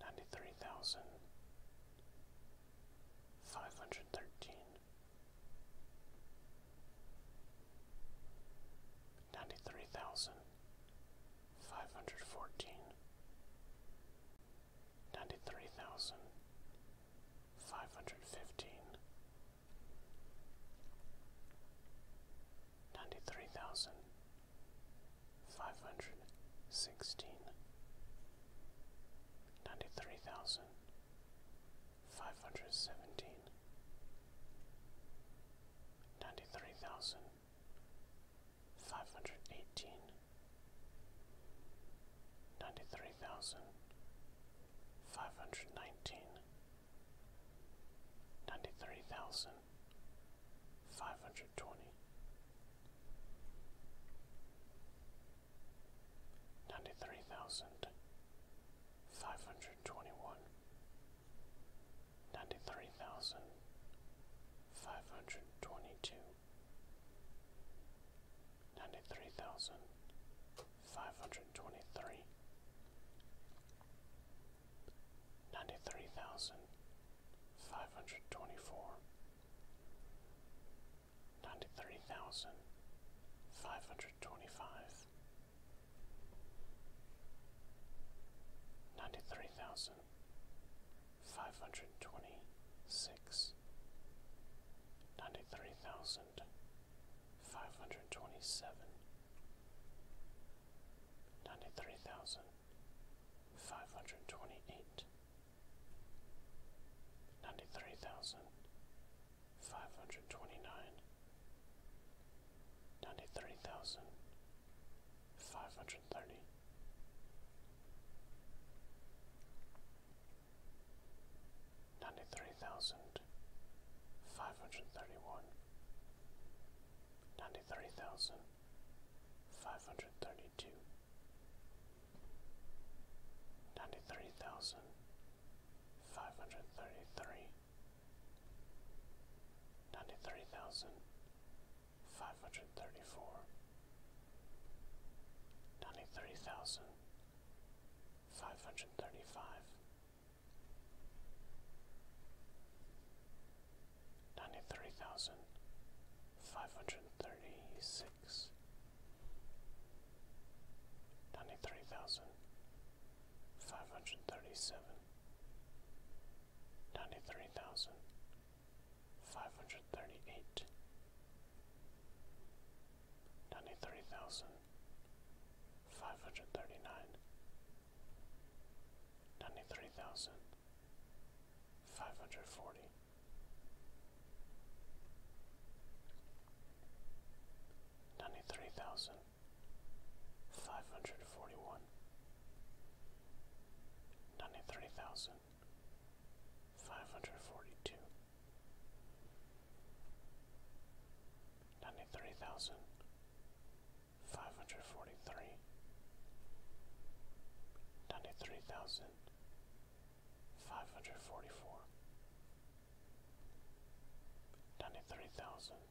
ninety-three thousand five hundred thirteen, ninety-three thousand five hundred fourteen, ninety-three thousand five hundred fifteen, ninety-three thousand five hundred sixteen. Ninety-three thousand five hundred seventeen. Ninety-three thousand five hundred eighteen. Ninety-three thousand five hundred nineteen. Ninety-three thousand five hundred twenty ninety-three thousand five hundred twenty-one, ninety-three thousand five hundred twenty-two, ninety-three thousand five hundred twenty-three, ninety-three thousand five hundred twenty-four. Ninety-three thousand five hundred twenty-five. Ninety-three thousand five hundred twenty-six. Ninety-three thousand five hundred twenty-seven. Ninety-three thousand five hundred twenty-eight ninety three thousand five hundred twenty nine ninety three thousand five hundred thirty ninety three thousand five hundred thirty one ninety three thousand five hundred thirty two ninety-three thousand five hundred thirty-three, ninety-three thousand five hundred thirty-four, ninety-three thousand five hundred thirty-five, ninety-three thousand five hundred thirty-six six, ninety three thousand five hundred thirty seven, ninety three thousand five hundred thirty eight, ninety three thousand five hundred thirty nine, ninety three thousand five hundred forty forty-one. Ninety-three thousand five Ninety-three thousand five hundred forty-one, ninety-three thousand five hundred forty-two, ninety-three thousand five hundred forty-three, ninety-three thousand Five hundred five hundred forty four ninety three thousand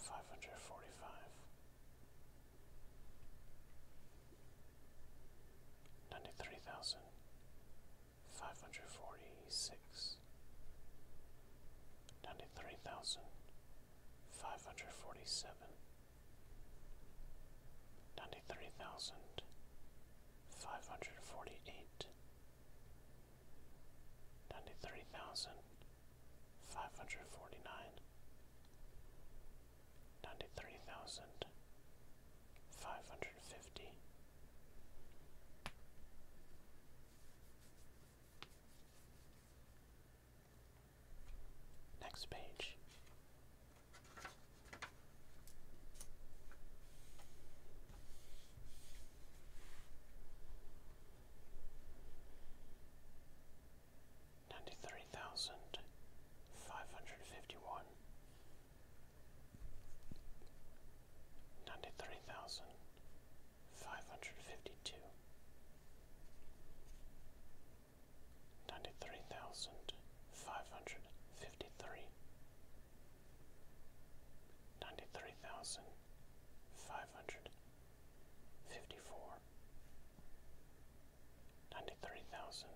five hundred forty five ninety three thousand five hundred forty six ninety three thousand five hundred forty seven Ninety three thousand five hundred forty eight, ninety three thousand five hundred forty nine, ninety three thousand five hundred fifty. Next page Ninety-three thousand five hundred fifty-one, ninety-three thousand five hundred fifty-two, ninety-three thousand five hundred fifty three, ninety three thousand five hundred fifty four, ninety three thousand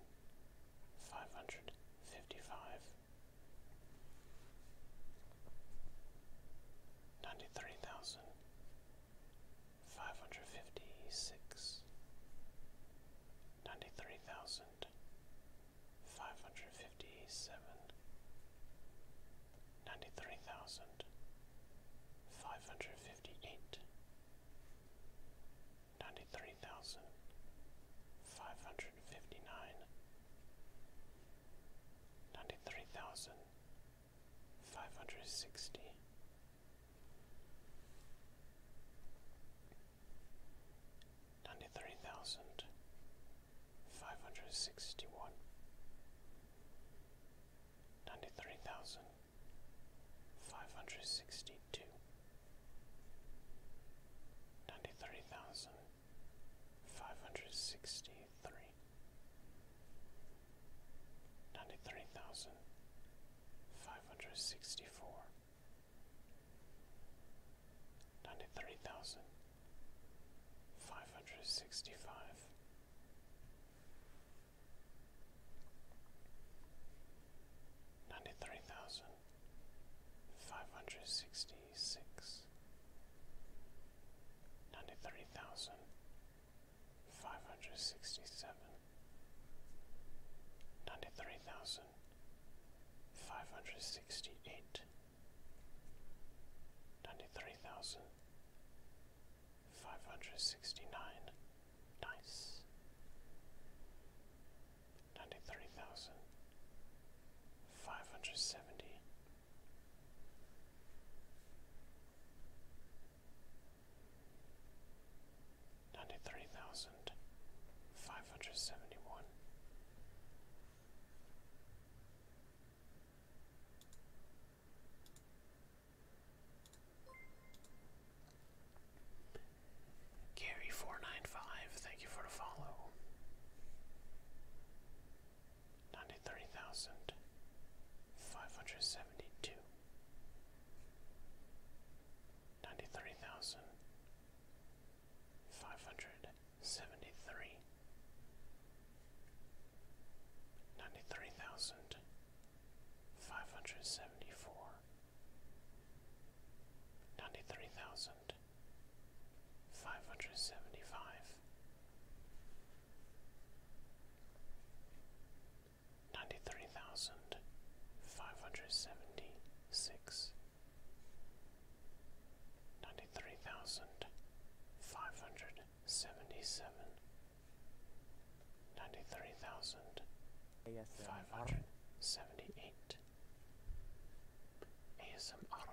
five hundred fifty five, ninety three thousand five hundred fifty six, ninety three thousand thousand five hundred fifty seven ninety three thousand five hundred fifty eight ninety three thousand five hundred fifty nine ninety three thousand five hundred sixty ninety-three thousand five hundred sixty-one, ninety-three thousand five hundred sixty-two, ninety-three thousand five hundred sixty-three, ninety-three thousand five hundred sixty-four ninety-three thousand five hundred sixty-five ninety-three thousand five hundred sixty-six ninety-three thousand five hundred sixty-seven ninety-three thousand thousand five hundred sixty eight, ninety three thousand five hundred sixty nine, nice ninety three thousand five hundred seventy ninety-three thousand five hundred seventy-one. Gary four nine five, thank you for the follow. Ninety-three thousand five hundred seventy-two. Ninety-three thousand five hundred seventy three, ninety three thousand five hundred seventy four, ninety three thousand five hundred seventy five, ninety three thousand five hundred seventy six. 93,576 ninety-three thousand five hundred seventy-seven, ninety-three thousand five hundred seventy-eight. ASMR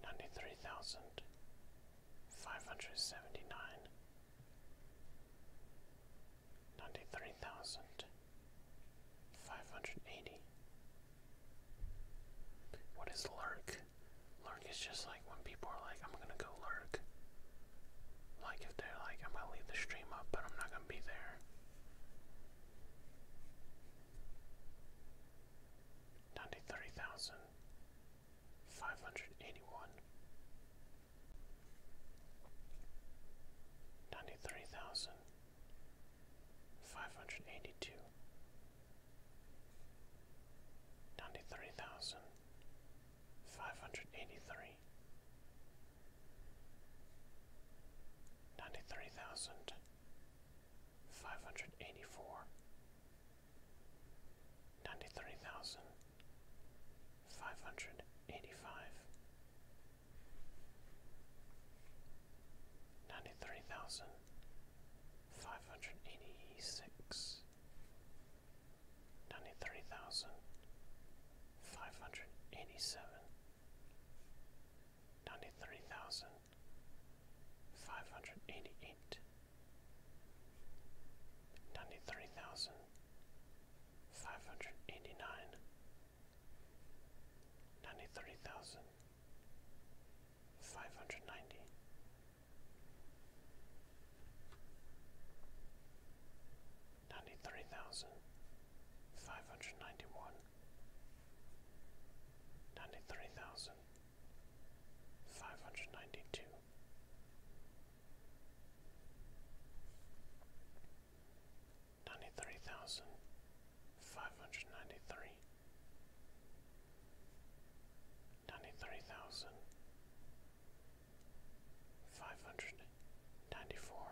ninety-three thousand five hundred seventy-nine ninety-three thousand five hundred eighty. What is lurk? Lurk is just like when people are like, I'm gonna go lurk. Like if they're like, I'm gonna leave the stream up, but I'm not gonna be there. Ninety-three thousand five hundred eighty-one ninety-three thousand five hundred eighty-two, ninety-three thousand five hundred eighty-three, ninety-three thousand five hundred eighty-four, ninety-three thousand five hundred eighty-five ninety-three thousand five hundred eighty-six, ninety-three thousand five hundred eighty-seven, ninety-three thousand five hundred eighty-eight, ninety-three thousand five hundred eighty-nine ninety-three thousand five hundred ninety ninety-three thousand five hundred ninety-one ninety-three thousand five hundred ninety-two ninety-three thousand five hundred ninety-three, ninety-three thousand five hundred ninety-four,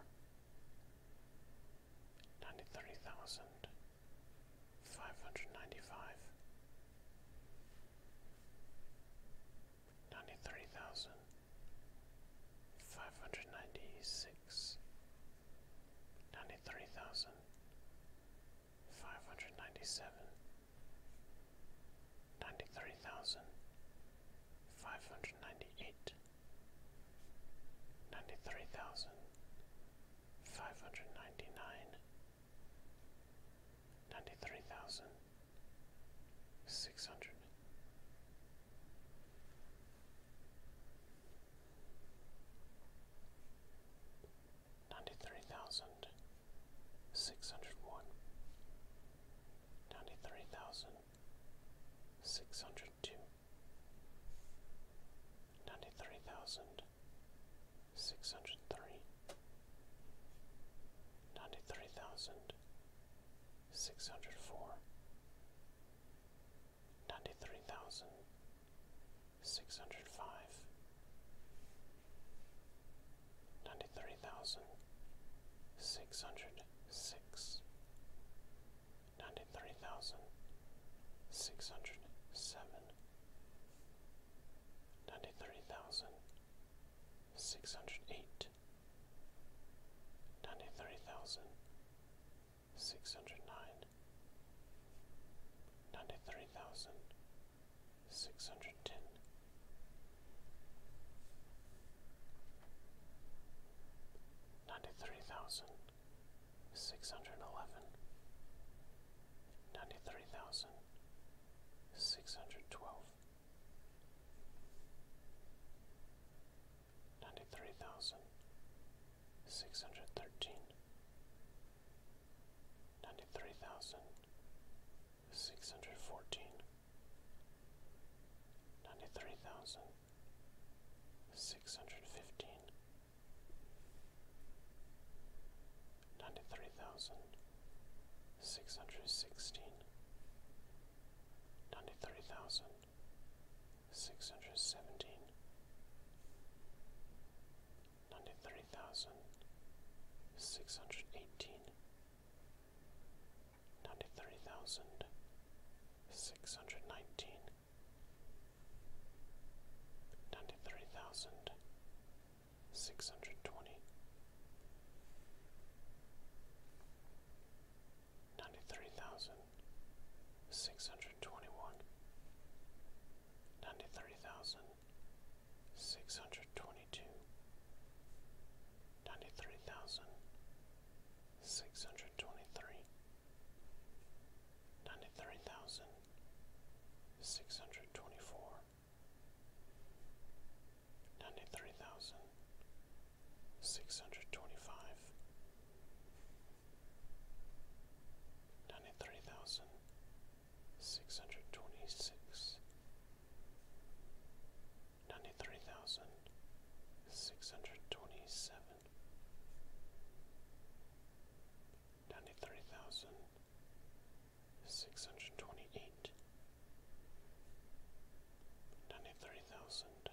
ninety-three thousand five hundred ninety-five, ninety-three thousand ninety-six. Ninety-three ninety-seven. Ninety-three ninety-eight. Ninety-three ninety-nine. Ninety-three thousand. Five hundred thousand. Five hundred thousand. Six hundred ninety three thousand six hundred one, ninety three thousand six hundred two, ninety three thousand six hundred three, ninety three thousand six hundred four ninety three thousand six hundred five ninety three thousand six hundred six ninety three thousand six hundred seven ninety three thousand six hundred eight ninety-three thousand six hundred nine, ninety-three thousand six hundred ten, ninety-three thousand six hundred eleven, ninety-three thousand six hundred twelve ninety-three thousand six hundred thirteen, ninety-three thousand six hundred fourteen, ninety-three thousand six hundred fifteen, ninety-three thousand six hundred sixteen, ninety-three thousand six hundred seventeen, ninety three thousand six hundred eighteen, ninety three thousand six hundred nineteen, ninety three thousand six hundred twenty ninety-three thousand six hundred twenty-one, ninety-three thousand six hundred twenty-two, ninety-three thousand six hundred twenty-three, ninety-three thousand six hundred twenty-four, ninety-three thousand Six hundred Six hundred Six hundred six hundred twenty five, ninety three thousand six hundred twenty six, ninety three thousand six hundred twenty seven, ninety three thousand six hundred twenty eight. Ninety-three thousand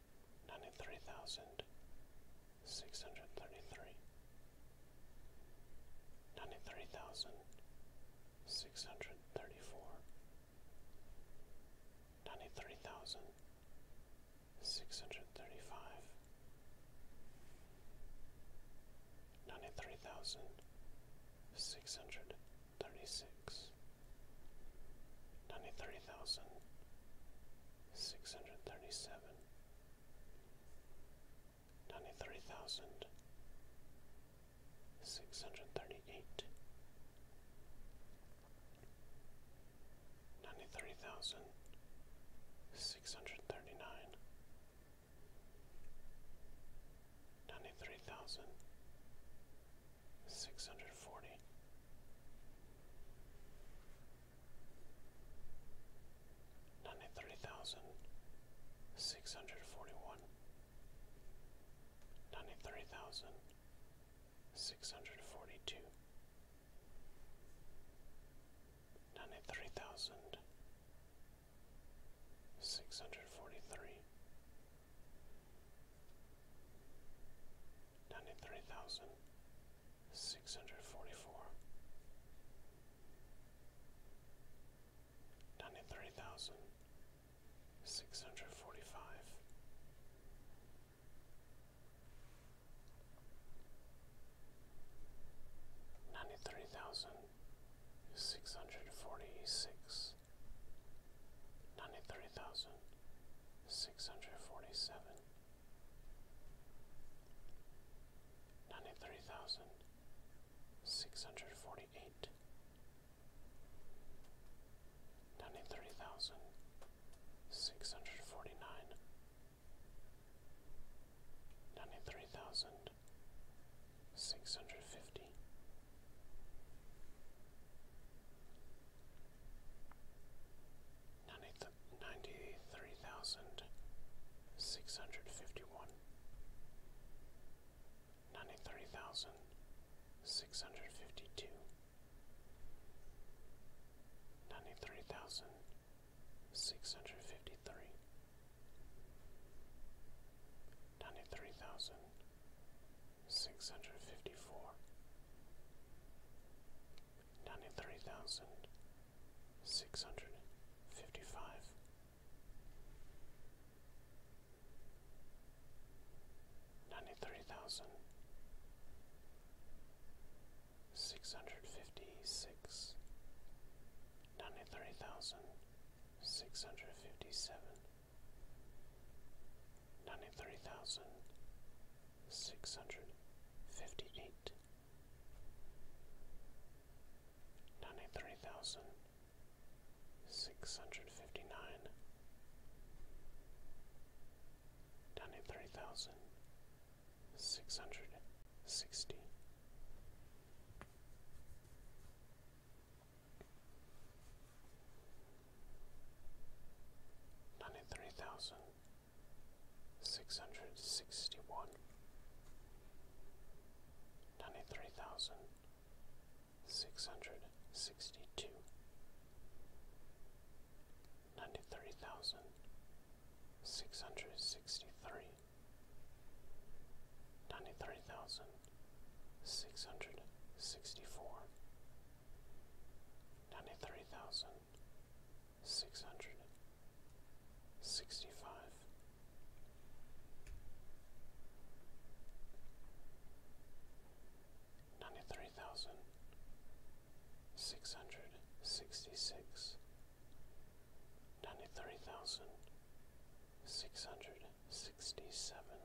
ninety-three thousand six hundred thirty-three, ninety-three thousand six hundred thirty-four, ninety-three thousand six hundred thirty-five, ninety-three thousand six hundred thirty-six, ninety-three thousand Six hundred Six hundred six hundred thirty seven, ninety three thousand, six hundred thirty eight, ninety three thousand, six hundred thirty nine, ninety three thousand, six hundred forty. Six hundred forty. Ninety-three thousand six hundred forty-one, ninety-three thousand six hundred forty-two, ninety-three thousand six hundred forty-three, ninety-three thousand six hundred forty-four, ninety-three thousand six hundred forty-five, ninety-three thousand six hundred forty-six, ninety-three thousand six hundred forty-seven ninety-three thousand six hundred forty-eight, ninety-three thousand six hundred forty-nine, ninety-three thousand six hundred fifty ninety-three thousand six hundred fifty-one, ninety-three thousand six hundred fifty-two, ninety-three thousand six hundred fifty-three, ninety-three thousand six hundred fifty-four ninety-three thousand six hundred fifty-five. Ninety-three thousand six hundred fifty-six, ninety-three thousand six hundred fifty-seven, ninety-three thousand six hundred fifty eight ninety three thousand six hundred fifty nine ninety three thousand six hundred sixty Ninety-three thousand six hundred sixty one, ninety three thousand six hundred sixty two, ninety three thousand six hundred sixty three, ninety three thousand six hundred sixty four, ninety three thousand six hundred sixty five. Ninety three thousand six hundred sixty six, ninety three thousand six hundred sixty seven,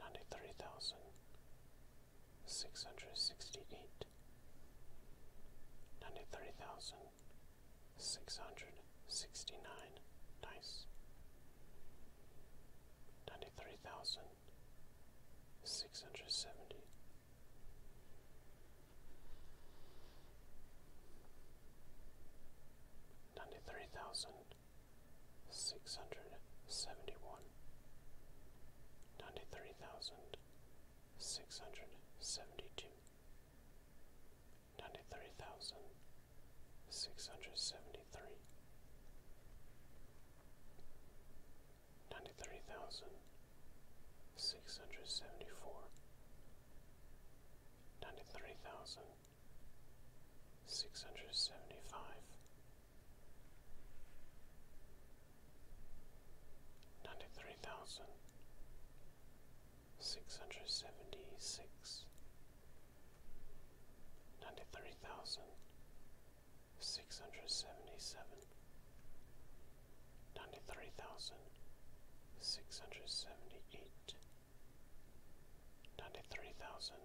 ninety three thousand six hundred sixty eight, ninety three thousand six hundred sixty nine, nice, ninety three thousand six hundred seventy. Ninety three thousand six hundred seventy one, ninety-three thousand six hundred seventy-two, ninety-three thousand six hundred seventy-three, ninety-three thousand six hundred seventy-four, ninety-three thousand six hundred seventy-five ninety-three thousand six hundred seventy-six, ninety-three thousand six hundred seventy-seven, ninety-three thousand six hundred seventy-eight, ninety-three thousand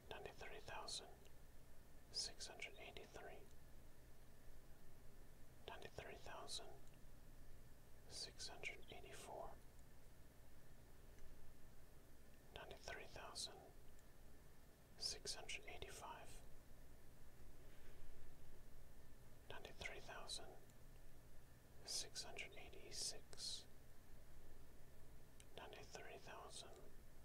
ninety-three thousand six hundred eighty-three, ninety-three thousand six hundred eighty-four, ninety-three thousand six hundred eighty-five, ninety-three thousand six hundred eighty-six, ninety-three thousand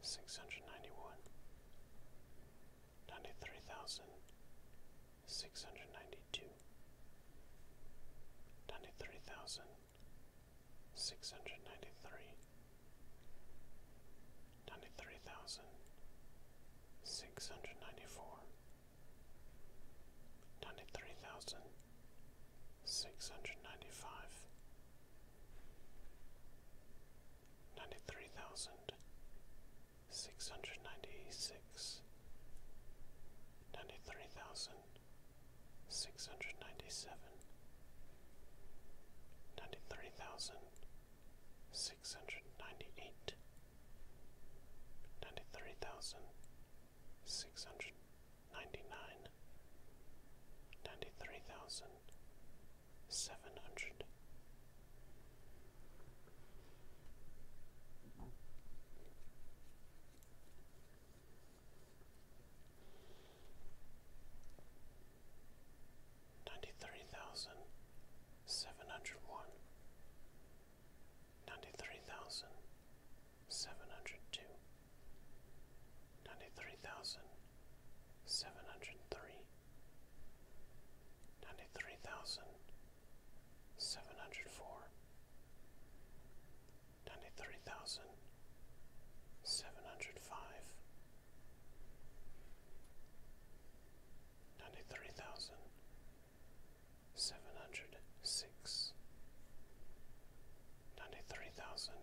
six hundred ninety one, ninety three thousand six hundred ninety two, ninety three thousand six hundred ninety three, ninety three thousand six hundred ninety four, ninety three thousand six hundred ninety five. 93,694 ninety-three thousand six hundred ninety-six, ninety-three thousand six hundred ninety-seven, ninety-three thousand six hundred ninety-eight, ninety-three thousand six hundred ninety-nine, ninety-three thousand seven hundred ninety three thousand seven hundred one ninety three thousand seven hundred two ninety-three thousand seven hundred three, ninety-three thousand seven hundred four, ninety-three thousand seven hundred five, ninety-three thousand seven hundred six, ninety-three thousand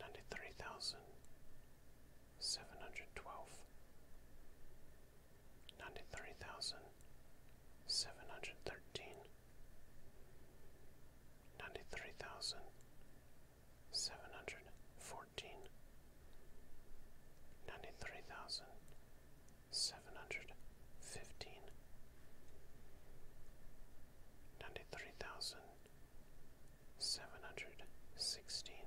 ninety-three thousand seven hundred twelve, ninety-three thousand seven hundred thirteen, ninety-three thousand seven hundred fourteen, ninety-three thousand seven hundred fifteen, ninety-three thousand seven hundred sixteen,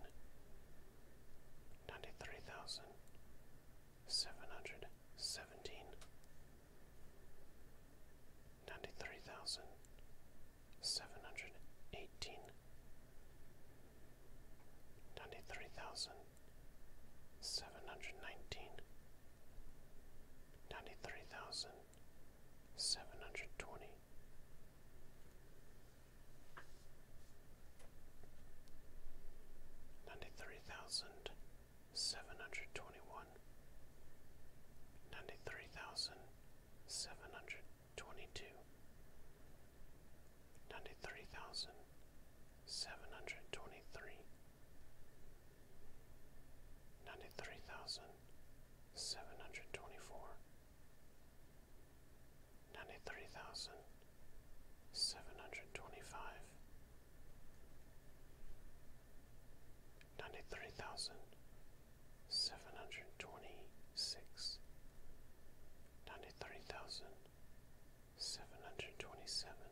ninety-three thousand seven hundred seventeen, ninety-three thousand seven hundred eighteen, ninety-three thousand seven hundred nineteen ninety-three thousand seven hundred twenty. Ninety-three thousand seven hundred twenty-one, ninety-three thousand seven hundred twenty-two, ninety-three thousand seven hundred twenty-three, ninety-three thousand seven hundred twenty-four, ninety-three thousand seven hundred twenty-five, ninety-three thousand seven hundred twenty-six, ninety-three thousand seven hundred twenty-seven.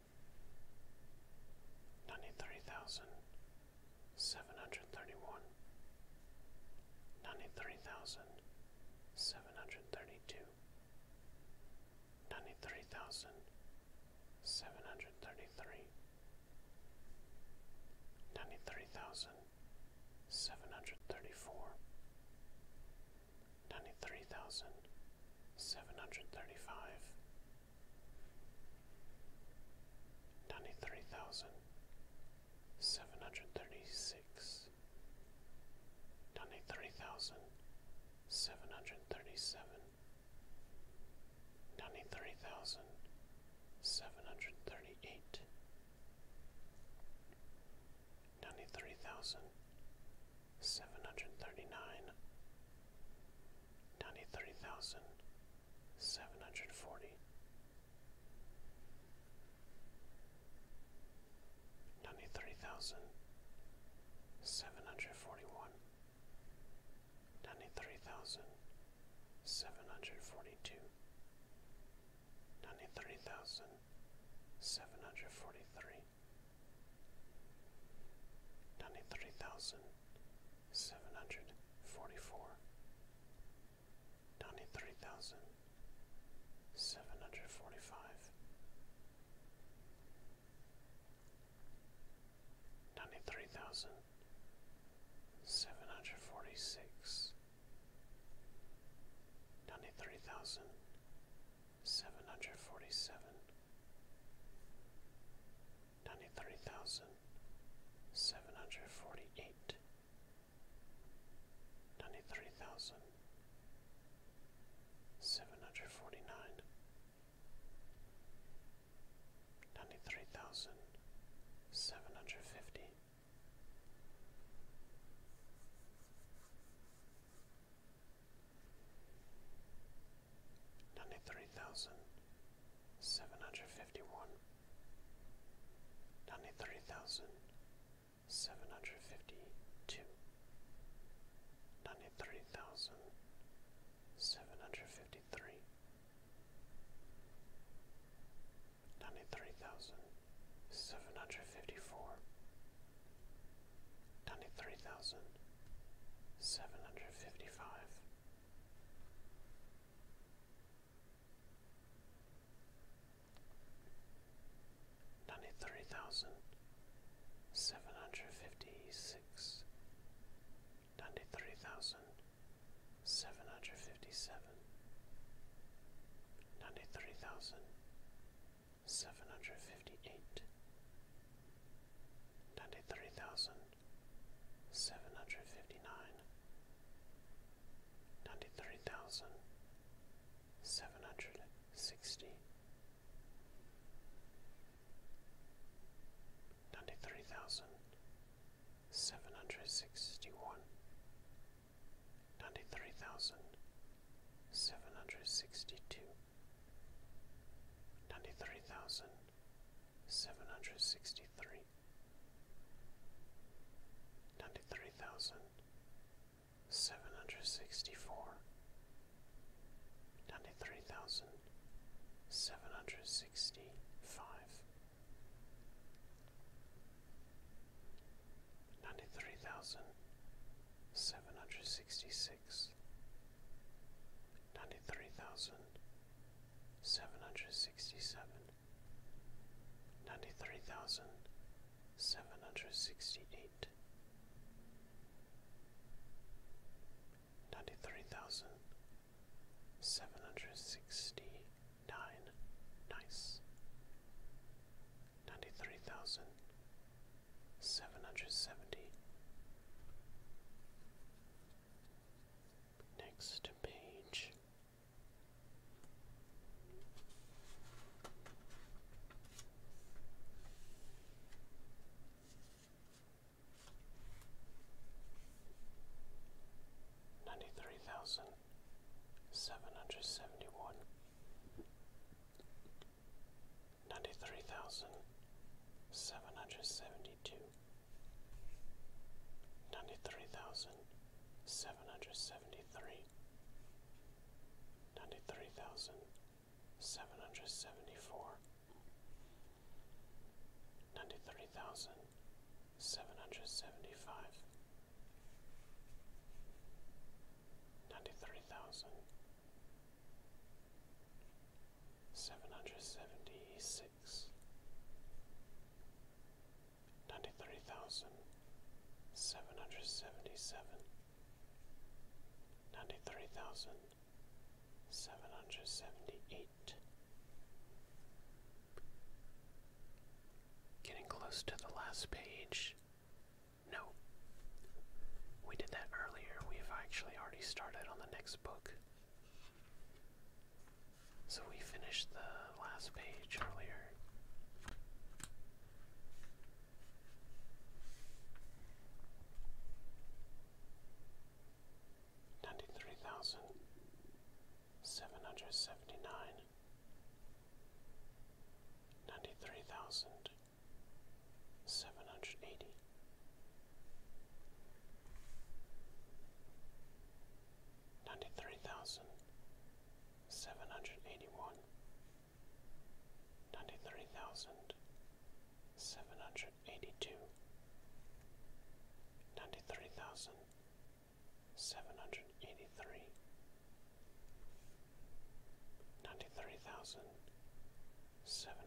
ninety-three thousand seven hundred thirty-one, ninety-three thousand seven hundred thirty-two, ninety-three thousand seven hundred thirty-three, ninety-three thousand seven hundred thirty-four, ninety-three thousand seven hundred thirty-five. Ninety-three thousand seven hundred thirty-six. Ninety-three thousand seven hundred thirty-seven. Ninety-three thousand seven hundred thirty-eight. Ninety-three thousand seven hundred thirty-nine. Ninety-three thousand seven hundred forty. Ninety-three thousand seven hundred forty-one. Ninety-three thousand seven hundred forty-two. Ninety-three thousand ninety-three thousand seven hundred forty, ninety-three thousand seven hundred forty-one, ninety-three thousand seven hundred forty-two, ninety-three thousand seven hundred forty-three, ninety-three thousand Seven hundred forty-four. Ninety-three seven hundred forty four ninety three thousand seven hundred forty five ninety three thousand seven hundred forty six ninety three thousand seven hundred forty seven ninety-three thousand seven hundred forty-eight, ninety-three thousand seven hundred forty-nine, ninety-three thousand seven hundred fifty. Ninety-three thousand seven hundred fifty one, ninety three thousand seven hundred fifty two, ninety three thousand seven hundred fifty three, ninety three thousand seven hundred fifty four, ninety three thousand seven hundred fifty five. 93,755 93,756 93,757 93,758 93,759 93,760 93,761 93,762 ninety three thousand seven hundred fifty six, ninety three thousand seven hundred fifty seven, ninety three thousand seven hundred fifty eight, ninety three thousand Seven hundred seven hundred fifty nine, ninety three thousand seven hundred sixty, ninety three thousand seven hundred sixty one, ninety three thousand seven hundred sixty two, ninety three thousand seven hundred sixty three, ninety three thousand seven hundred sixty four, ninety three thousand seven hundred sixty five, ninety three thousand seven hundred sixty six, ninety three thousand seven hundred sixty seven, ninety three thousand seven hundred sixty eight, ninety three thousand seven hundred sixty nine, nice, ninety three thousand seven hundred seventy. Next page. Ninety three thousand seven hundred seventy one, ninety three thousand seven hundred seventy two, ninety-three thousand seven hundred seventy-three, ninety-three thousand seven hundred seventy-four, ninety-three thousand seven hundred seventy-five, ninety-three thousand seven hundred seventy six, ninety three thousand seven hundred seventy seven, ninety three thousand seven hundred seventy eight. Getting close to the last page. No. We did that earlier. We've actually already started on the next book. So we finished the last page earlier. Ninety-three thousand seven hundred seventy-nine, ninety-three thousand seven hundred eighty, Ninety-three thousand seven hundred eighty-one. Ninety-three thousand seven hundred eighty-three. Ninety-three thousand seven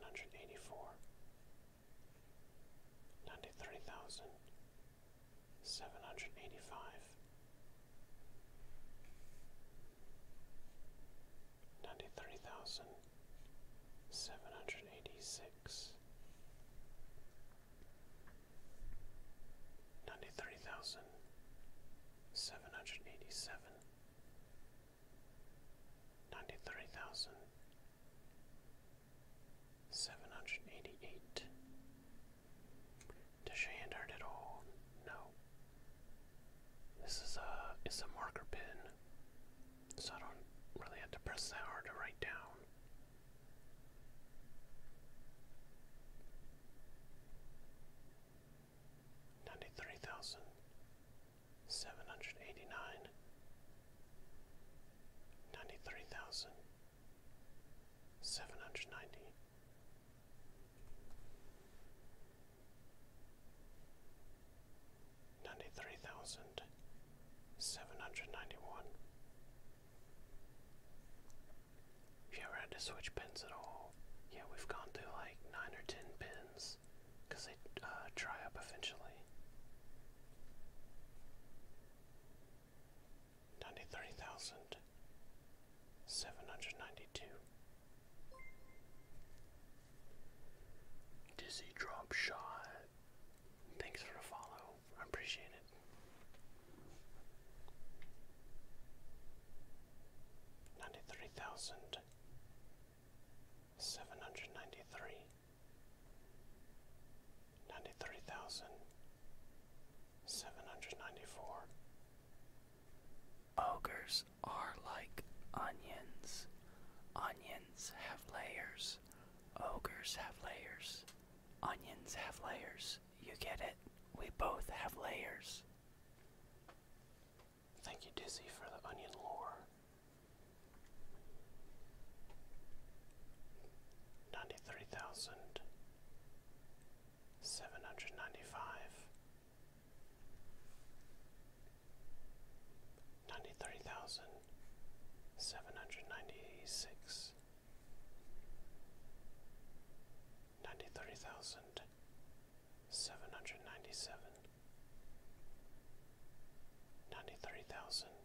hundred eighty-four ninety-three thousand seven hundred eighty-five, ninety-three thousand seven hundred eighty-six, ninety-three thousand seven hundred eighty-seven. Ninety-three thousand Seven hundred eighty eight. Does your hand hurt all? No. This is a it's a marker pen. So I don't really have to press that hard to write down. Ninety three thousand seven hundred eighty nine ninety-three thousand seven hundred ninety ninety-three thousand seven hundred ninety-one if you ever had to switch pins at all, yeah, we've gone through like 9 or 10 pins they uh, dry up eventually ninety-three thousand seven hundred ninety-two. Dizzy drop shot. Thanks for the follow. I appreciate it. Ninety-three thousand seven hundred ninety-three ninety-three thousand seven hundred ninety-four. Ogres are like onions. Onions have layers. Ogres have layers. Onions have layers. You get it? We both have layers. Thank you, Dizzy, for the onion lore. Ninety-three thousand seven hundred ninety-five. Ninety-three thousand seven ninety-three thousand seven hundred ninety-five, ninety-three thousand seven hundred ninety-six, ninety-three thousand seven hundred ninety-seven, ninety-three thousand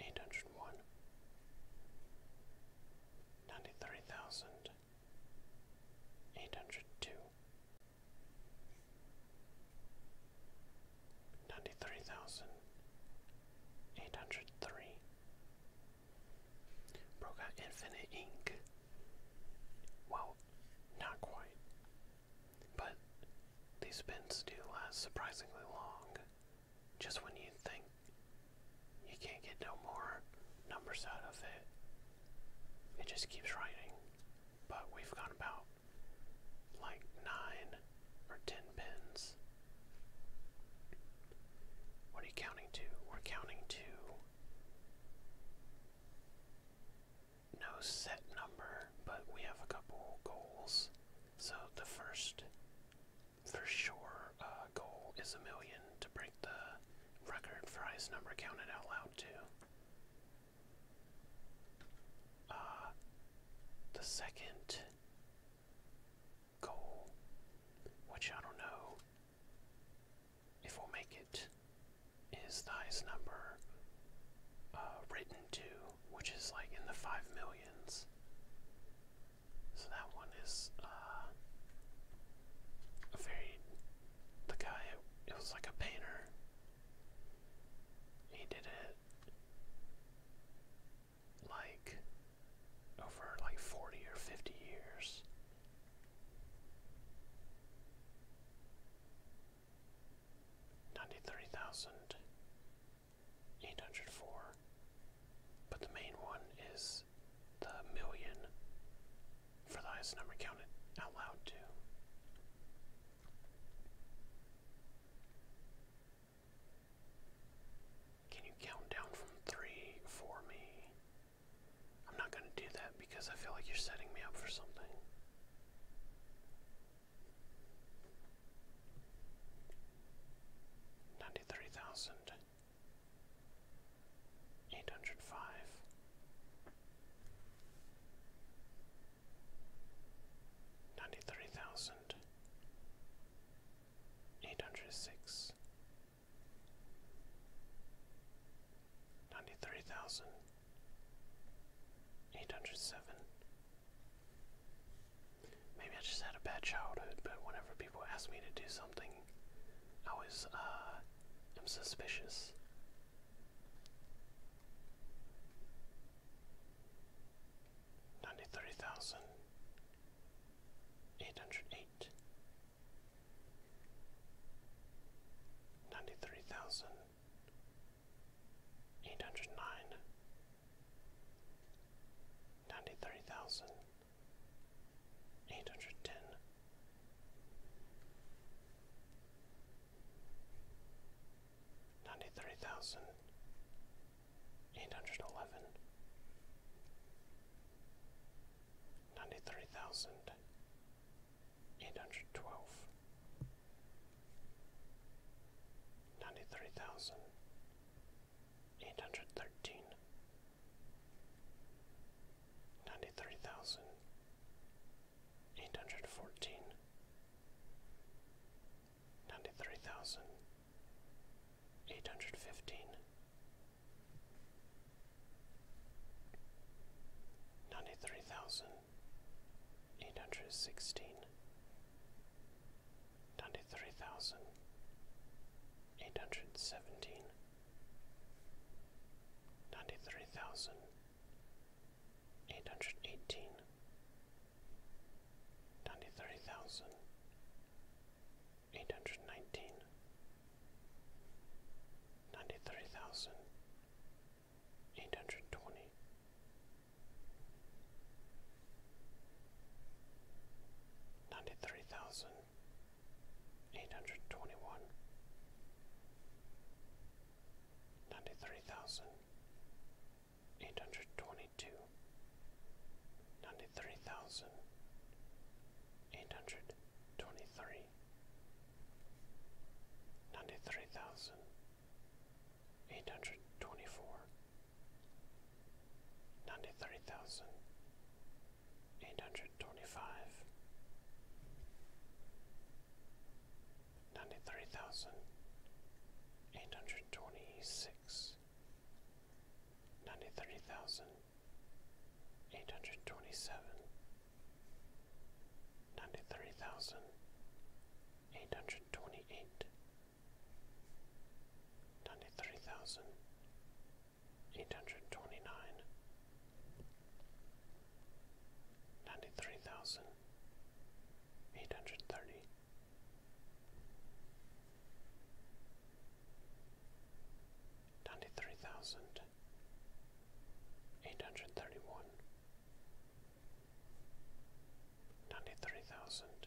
eight hundred one, ninety three thousand eight hundred two, ninety three thousand eight hundred three. Broke out infinite ink. Well, not quite. But these pens do last surprisingly long. Just when you think you can't get no more numbers out of it, it just keeps writing. But we've got about like nine or ten pins. What are you counting to? We're counting to no set number, but we have a couple goals. So the first for sure uh, goal is a million to break the record for highest number counted out loud too. Uh, the second goal, which I don't know if we'll make it, is the highest number uh, written to, which is like in the five millions. So that one is uh, a very. The guy, it was like a painter. He did it like over like 40 or 50 years. Ninety-three thousand eight hundred four. But the main one is the million for the highest number counted out loud, too. Can you count down from three for me? I'm not going to do that because I feel like you're setting me up for something. Ninety-three thousand eight hundred five. Ninety three thousand eight Eight hundred hundred six, ninety three thousand eight hundred seven, Maybe I just had a bad childhood, but whenever people ask me to do something, I always uh, am suspicious. Ninety-three thousand eight hundred eight. Ninety-three thousand eight hundred nine. Ninety-three thousand eight hundred ten. Ninety three thousand eight hundred eleven, ninety three thousand eight hundred twelve, ninety three thousand eight hundred thirteen, ninety three thousand, eight hundred fourteen, ninety three thousand, eight hundred fifteen, ninety three thousand, eight hundred sixteen. Ninety-three thousand eight hundred seventeen, ninety three thousand eight hundred eighteen, ninety three thousand eight hundred nineteen, ninety three thousand eight hundred twenty. Ninety three thousand Eight hundred Eight hundred eight hundred twenty one, ninety three thousand, eight hundred twenty two, ninety three thousand, eight hundred twenty three, ninety three thousand, eight hundred twenty four, ninety three thousand. Eight hundred eight hundred twenty-five, ninety-three thousand, eight hundred twenty-six, ninety-three thousand, eight hundred twenty-seven, ninety-three thousand, eight hundred twenty-eight, ninety-three thousand eight hundred twenty nine, ninety three thousand eight hundred thirty. Ninety three thousand eight hundred thirty one, ninety three thousand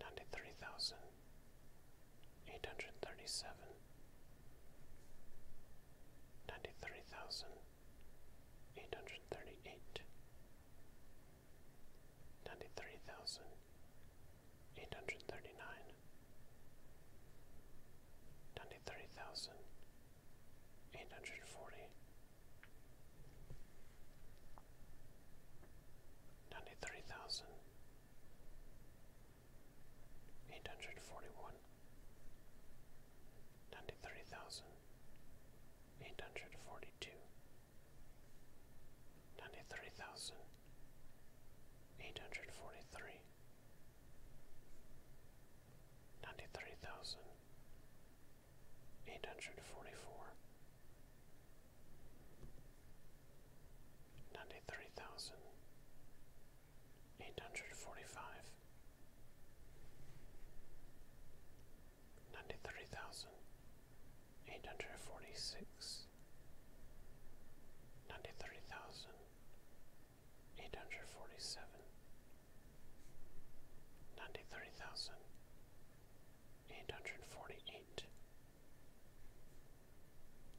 ninety-three thousand eight hundred thirty-seven, ninety-three thousand eight hundred thirty-eight, ninety-three thousand eight hundred thirty-nine, ninety-three thousand eight hundred forty. 93,841 ninety-three thousand eight hundred forty-one, ninety-three thousand eight hundred forty-two, ninety-three thousand eight hundred forty-three, ninety-three thousand Eight hundred Eight hundred eight hundred forty four ninety three thousand eight hundred forty five ninety three thousand eight hundred forty six ninety three thousand eight hundred forty seven Ninety-three thousand forty-eight.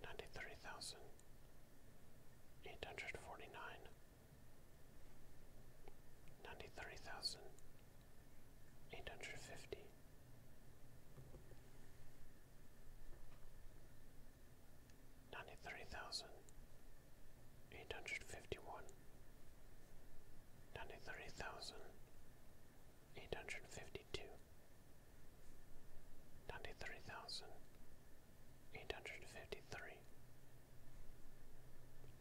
Ninety-three thousand. fifty. Ninety-three thousand. ninety three thousand eight hundred fifty. Ninety-three thousand eight hundred fifty-one, ninety-three thousand eight hundred fifty-two, ninety-three thousand eight hundred fifty-three,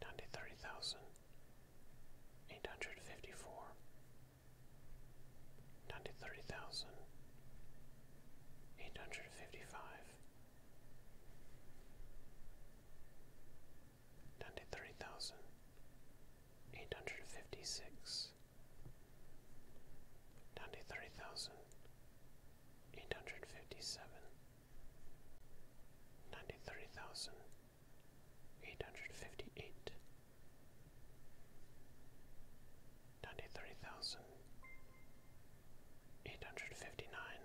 ninety-three thousand eight hundred fifty-four, ninety-three thousand eight hundred fifty-five ninety-three thousand eight hundred fifty-six, ninety-three thousand eight hundred fifty-seven, ninety-three thousand eight hundred fifty-eight, ninety-three thousand eight hundred fifty-nine.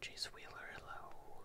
Geez Wheeler, hello.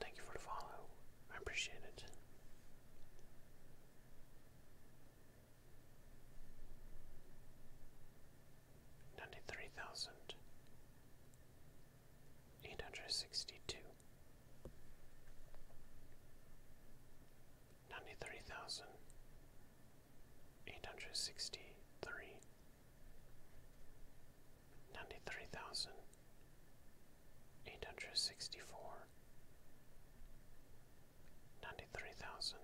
Thank you for the follow. I appreciate it. Ninety-three thousand eight hundred sixty-two. Ninety-three thousand eight hundred sixty-three ninety-three thousand eight hundred sixty-four, ninety-three thousand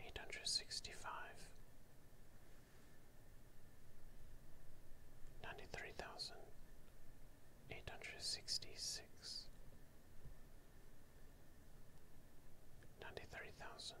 eight hundred sixty-five, ninety-three thousand eight hundred sixty-six, ninety-three thousand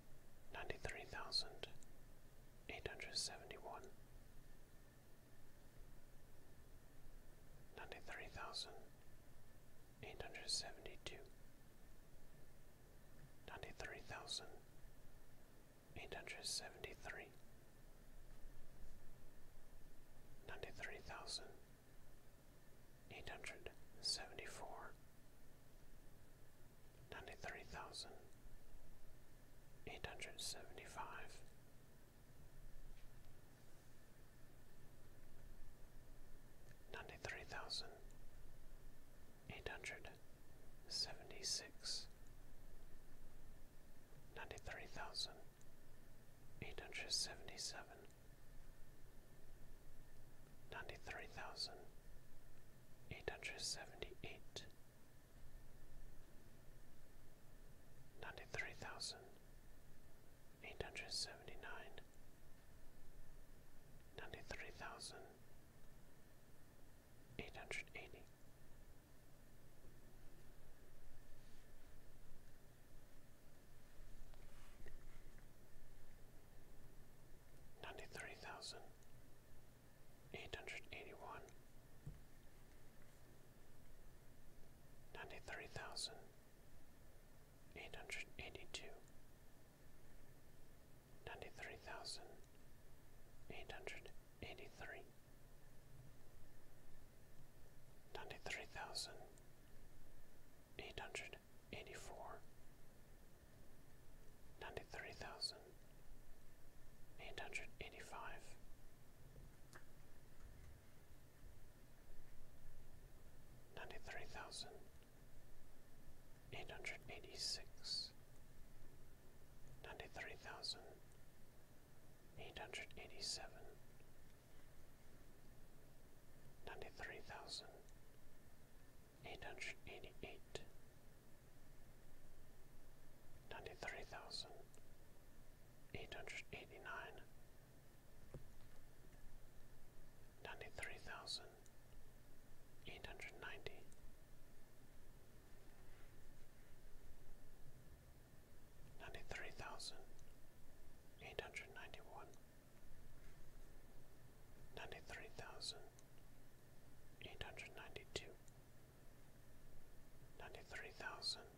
ninety-three thousand eight hundred seventy-one, ninety-three thousand eight hundred seventy-two, ninety-three thousand eight hundred seventy-three, ninety-three thousand eight hundred seventy-four ninety-three thousand eight hundred seventy-five, ninety-three thousand eight hundred seventy-six, ninety-three thousand eight hundred seventy-seven, ninety-three thousand Eight hundred eight hundred seventy eight, ninety three thousand eight hundred seventy nine, ninety three thousand eight hundred eighty ninety-three thousand eight hundred eighty-one, ninety-three thousand eight hundred eighty-two, ninety-three thousand eight hundred eighty-three, ninety-three thousand eight hundred Eighty-four. Ninety-three eighty-four, ninety-three thousand, eight hundred eighty-five, ninety-three thousand, eight hundred eighty-six, ninety-three thousand, eight hundred eighty-seven. Ninety-three thousand Eight hundred Eight hundred eight hundred eighty eight, ninety three thousand eight hundred eighty nine, ninety three thousand eight hundred ninety. Ninety three thousand eight hundred ninety one, ninety three thousand Eight hundred Eight hundred Eight hundred thousand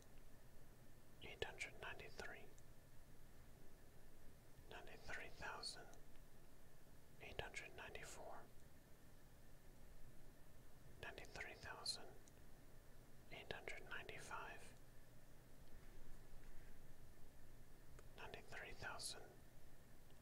eight hundred ninety four, ninety three thousand eight hundred ninety five. Ninety-three thousand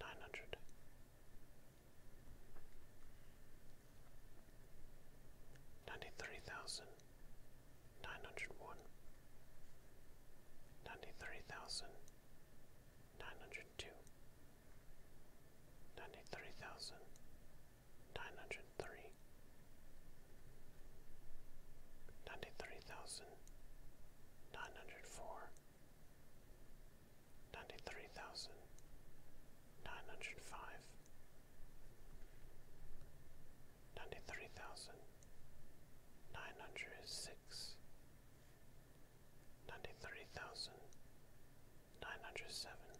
nine hundred. Ninety-three thousand nine hundred one, ninety-three thousand nine hundred two, ninety-three thousand nine hundred three, ninety-three thousand nine hundred four ninety-three thousand nine hundred five, ninety-three thousand nine hundred six, ninety-three thousand nine hundred seven,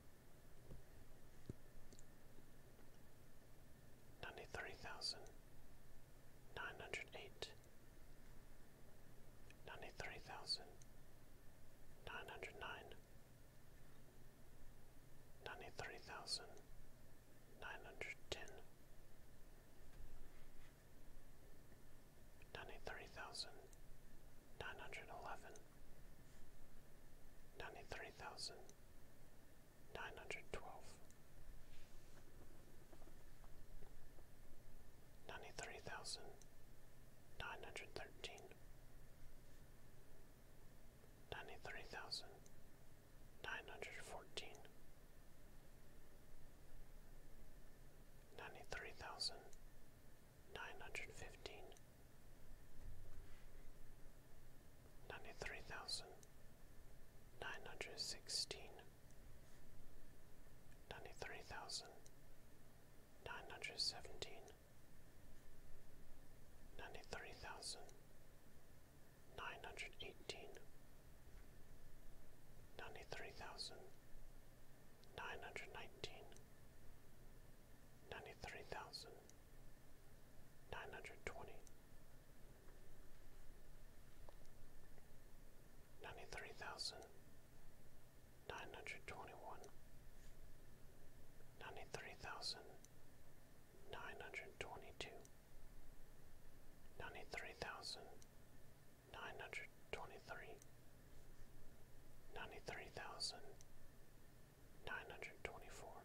ninety-three thousand nine hundred eight ninety-three thousand nine hundred nine, ninety-three thousand nine hundred ten, ninety-three thousand nine hundred eleven, ninety-three thousand nine hundred twelve, ninety-three thousand nine hundred thirteen, ninety three thousand nine hundred fourteen, ninety three thousand nine hundred fifteen, ninety three thousand nine hundred sixteen, ninety three thousand Nine hundred seventeen. Ninety-three thousand. eighteen. Ninety-three thousand. nineteen. Ninety-three thousand. nine hundred seventeen, ninety three thousand, nine hundred eighteen, ninety three thousand, nine hundred nineteen, ninety three thousand, nine hundred twenty. twenty. Ninety-three thousand nine hundred twenty one, ninety three thousand nine hundred twenty two, ninety three thousand nine hundred twenty three, ninety three thousand nine hundred twenty four,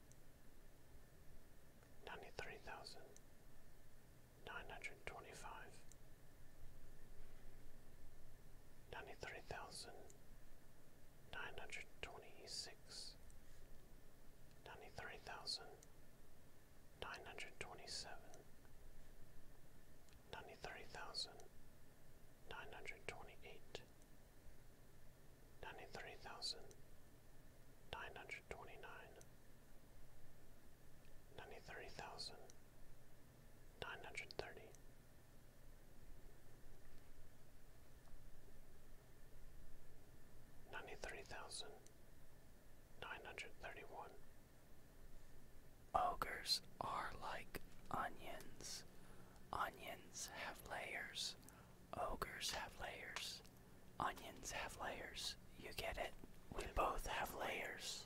ninety three thousand nine hundred twenty five ninety-three thousand nine hundred twenty-six, ninety-three thousand nine hundred twenty-seven, ninety-three thousand nine hundred twenty-eight, ninety-three thousand nine hundred twenty-nine, ninety-three thousand nine hundred thirty. Ninety three thousand nine hundred thirty one. Ogres are like onions. Onions have layers. Ogres have layers. Onions have layers. You get it? We both have layers.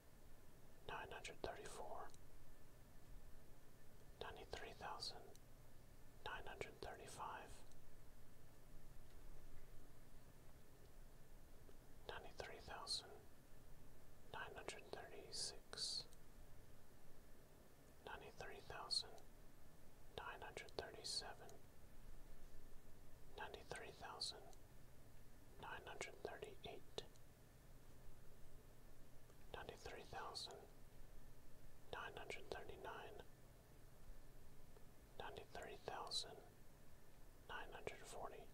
Nine hundred thirty-four. Ninety-three nine hundred thirty four, ninety three thousand nine hundred thirty five, ninety three thousand nine hundred thirty six, ninety three thousand nine hundred thirty seven, ninety three thousand nine hundred thirty eight ninety-three thousand nine hundred thirty-nine, ninety-three thousand nine hundred forty,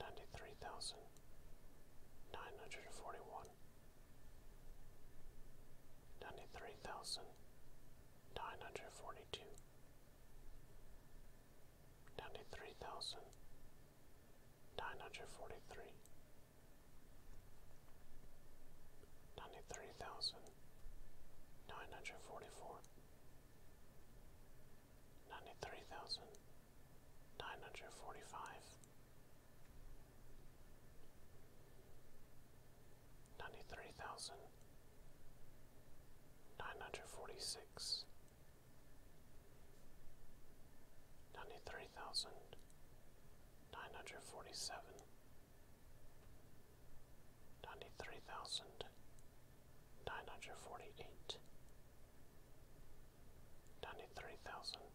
ninety-three thousand nine hundred forty-one, ninety-three thousand nine hundred forty-two ninety three thousand nine hundred forty three ninety three thousand nine hundred forty four ninety three thousand nine hundred forty five Ninety three thousand nine hundred forty six, ninety three thousand nine hundred forty seven ninety three thousand nine hundred forty eight ninety three thousand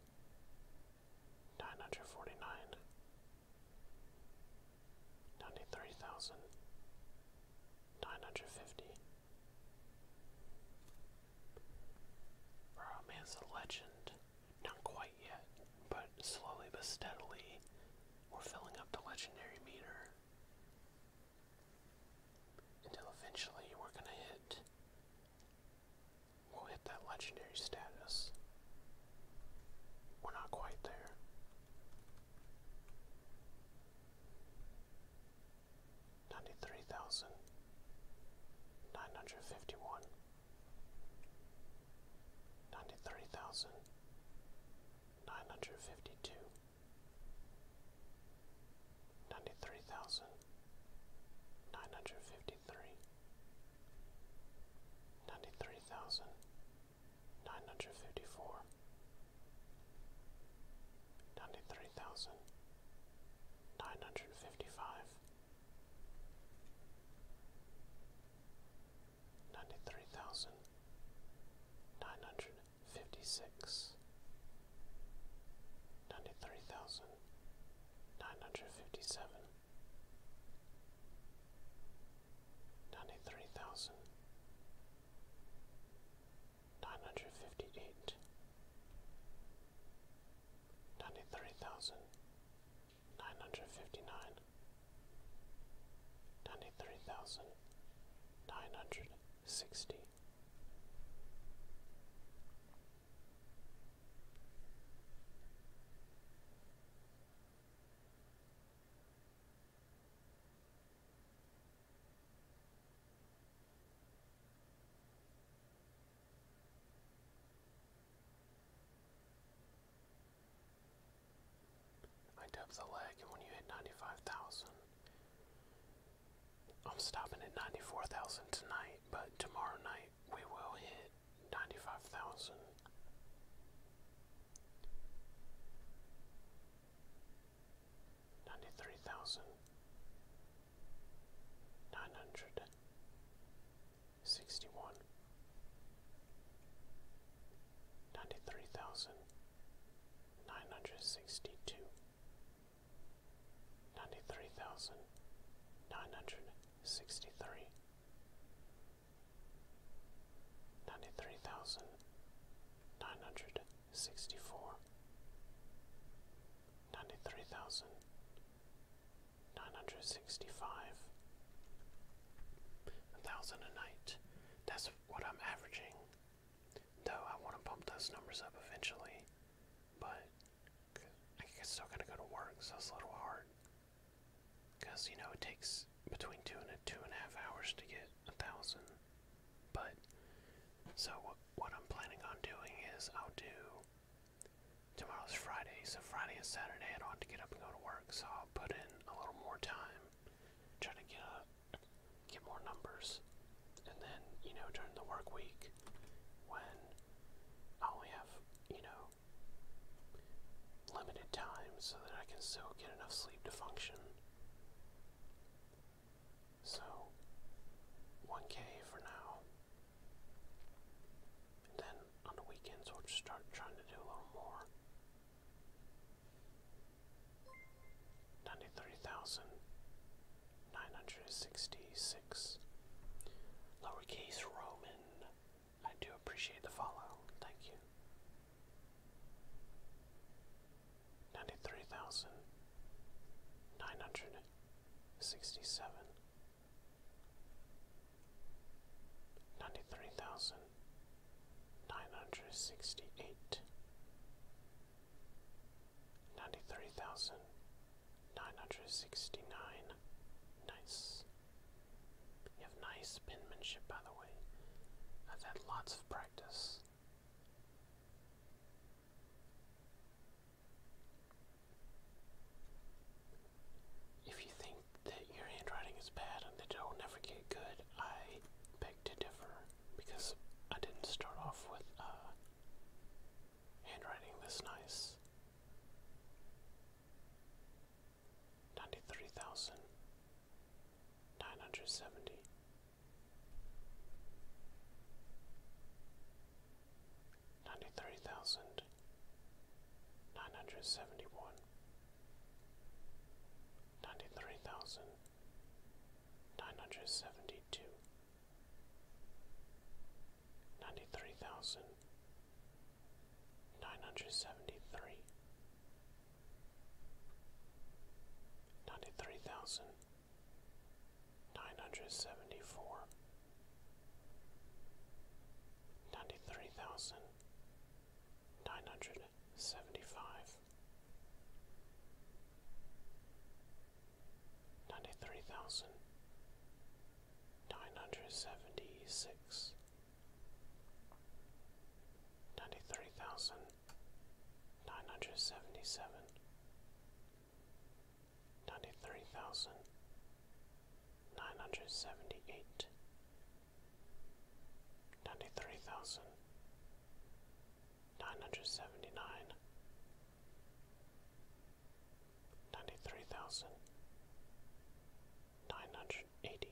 nine hundred forty nine ninety three thousand nine hundred fifty Bro, man's a legend. Not quite yet, but slowly but steadily, we're filling up the legendary meter. Until eventually we're gonna hit. We'll hit that legendary status. We're not quite there ninety-three thousand nine hundred fifty-one, ninety-three thousand nine hundred fifty-two, ninety-three thousand nine hundred fifty-three, ninety-three thousand nine hundred fifty-four. 93,955 93,956 93,957 93,958 Ninety-three thousand nine hundred fifty-five. Ninety-three thousand nine ninety-three thousand nine hundred fifty-five, ninety-three thousand nine hundred fifty-six, ninety-three thousand nine hundred fifty-seven, ninety-three thousand Nine hundred fifty-eight. Ninety-three thousand. fifty-nine. Ninety-three thousand. Nine hundred Nine hundred sixty. I dub the leg, and when you hit 95,000, I'm stopping at 94,000 tonight, but tomorrow night we will hit 95,000 ninety-three thousand nine hundred sixty-one ninety-three thousand nine hundred sixty-two ninety-three thousand nine hundred sixty-three Ninety-three thousand nine hundred sixty four, ninety three thousand nine hundred sixty five, a thousand a night. That's what I'm averaging. Though I want to bump those numbers up eventually, but I still gotta go to work, so it's a little hard. Cause you know it takes between two and a two and a half hours to get a thousand. But so what I'm planning on doing is I'll do tomorrow's Friday, so Friday and Saturday I don't to get up and go to work, so I'll put in a little more time, try to get get more numbers, and then you know during the work week when I only have you know limited time so that I can still get enough sleep to function. So 1k for now. then on the weekends we'll just start trying to do a little more. 93,966. Lowercase Roman. I do appreciate the follow. Thank you ninety-three thousand nine hundred sixty-seven, ninety-three thousand nine hundred sixty-eight, ninety-three thousand nine hundred sixty-nine. Nice. You have nice penmanship, by the way. I've had lots of practice if you think that your handwriting is bad and that it'll never get good, I beg to differ because I didn't start off with uh, handwriting this nice. 93,970 ninety three thousand nine hundred seventy one ninety three thousand nine hundred seventy two ninety three thousand nine hundred seventy three ninety three thousand Nine hundred seventy-four. Ninety-three thousand. seventy-five. Ninety-three thousand. Nine hundred Nine hundred seventy-six. Ninety-three thousand. Nine hundred seventy-seven ninety-three thousand nine hundred seventy-eight, ninety-three thousand nine hundred seventy-nine, ninety-three thousand nine hundred eighty.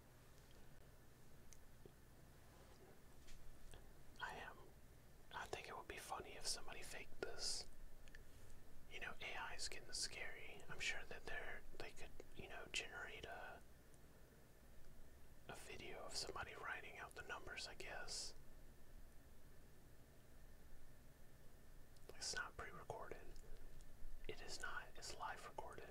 I am. I think it would be funny if somebody faked this. You know, AI is getting scary. I'm sure that they're they could, you know, generate a a video of somebody writing out the numbers, I guess. It's not pre-recorded. It is not. It's live recorded.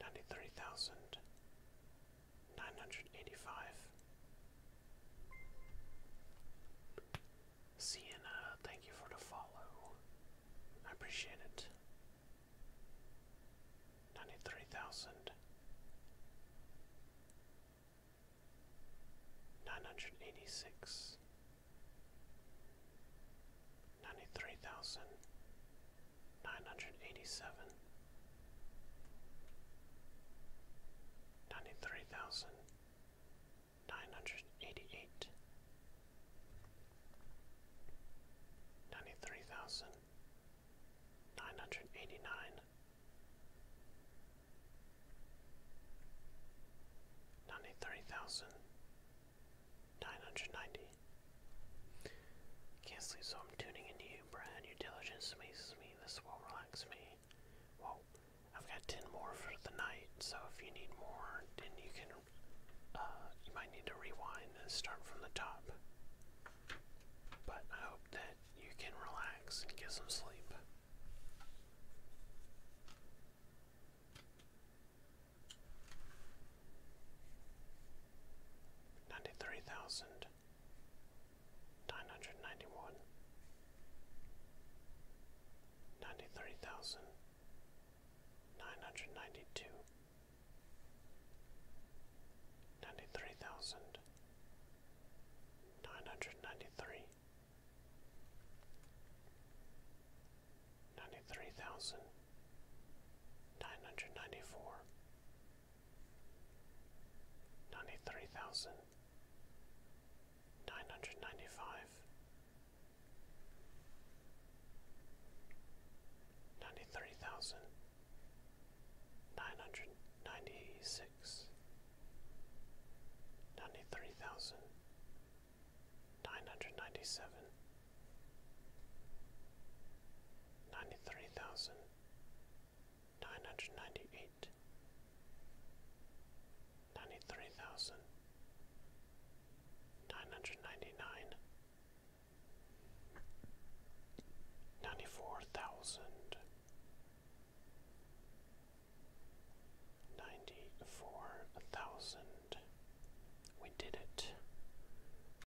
ninety-three thousand nine hundred eighty-five. Sienna, thank you for the follow. I appreciate it. Ninety-three thousand nine hundred eighty-six ninety-three thousand nine hundred eighty-seven, ninety-three thousand nine hundred eighty-eight, ninety-three thousand nine hundred eighty-nine. 93,990 can't sleep, so I'm tuning into you, Brad. Your diligence amazes me. This will relax me. Whoa, I've got ten more for the night. So if you need more, then you can. Uh, you might need to rewind and start from the top. But I hope that you can relax and get some sleep ninety-three thousand nine hundred ninety-one, ninety-three thousand nine hundred ninety-two, ninety-three thousand nine hundred ninety-three, ninety-three thousand Nine hundred ninety-four. Ninety-three thousand. ninety-five. Ninety-three thousand. Nine hundred Nine hundred ninety-six. Ninety-three thousand. Nine hundred ninety-seven ninety-three thousand nine hundred ninety-eight, ninety-three thousand nine hundred ninety-nine, ninety-four thousand ninety-four thousand. We did it.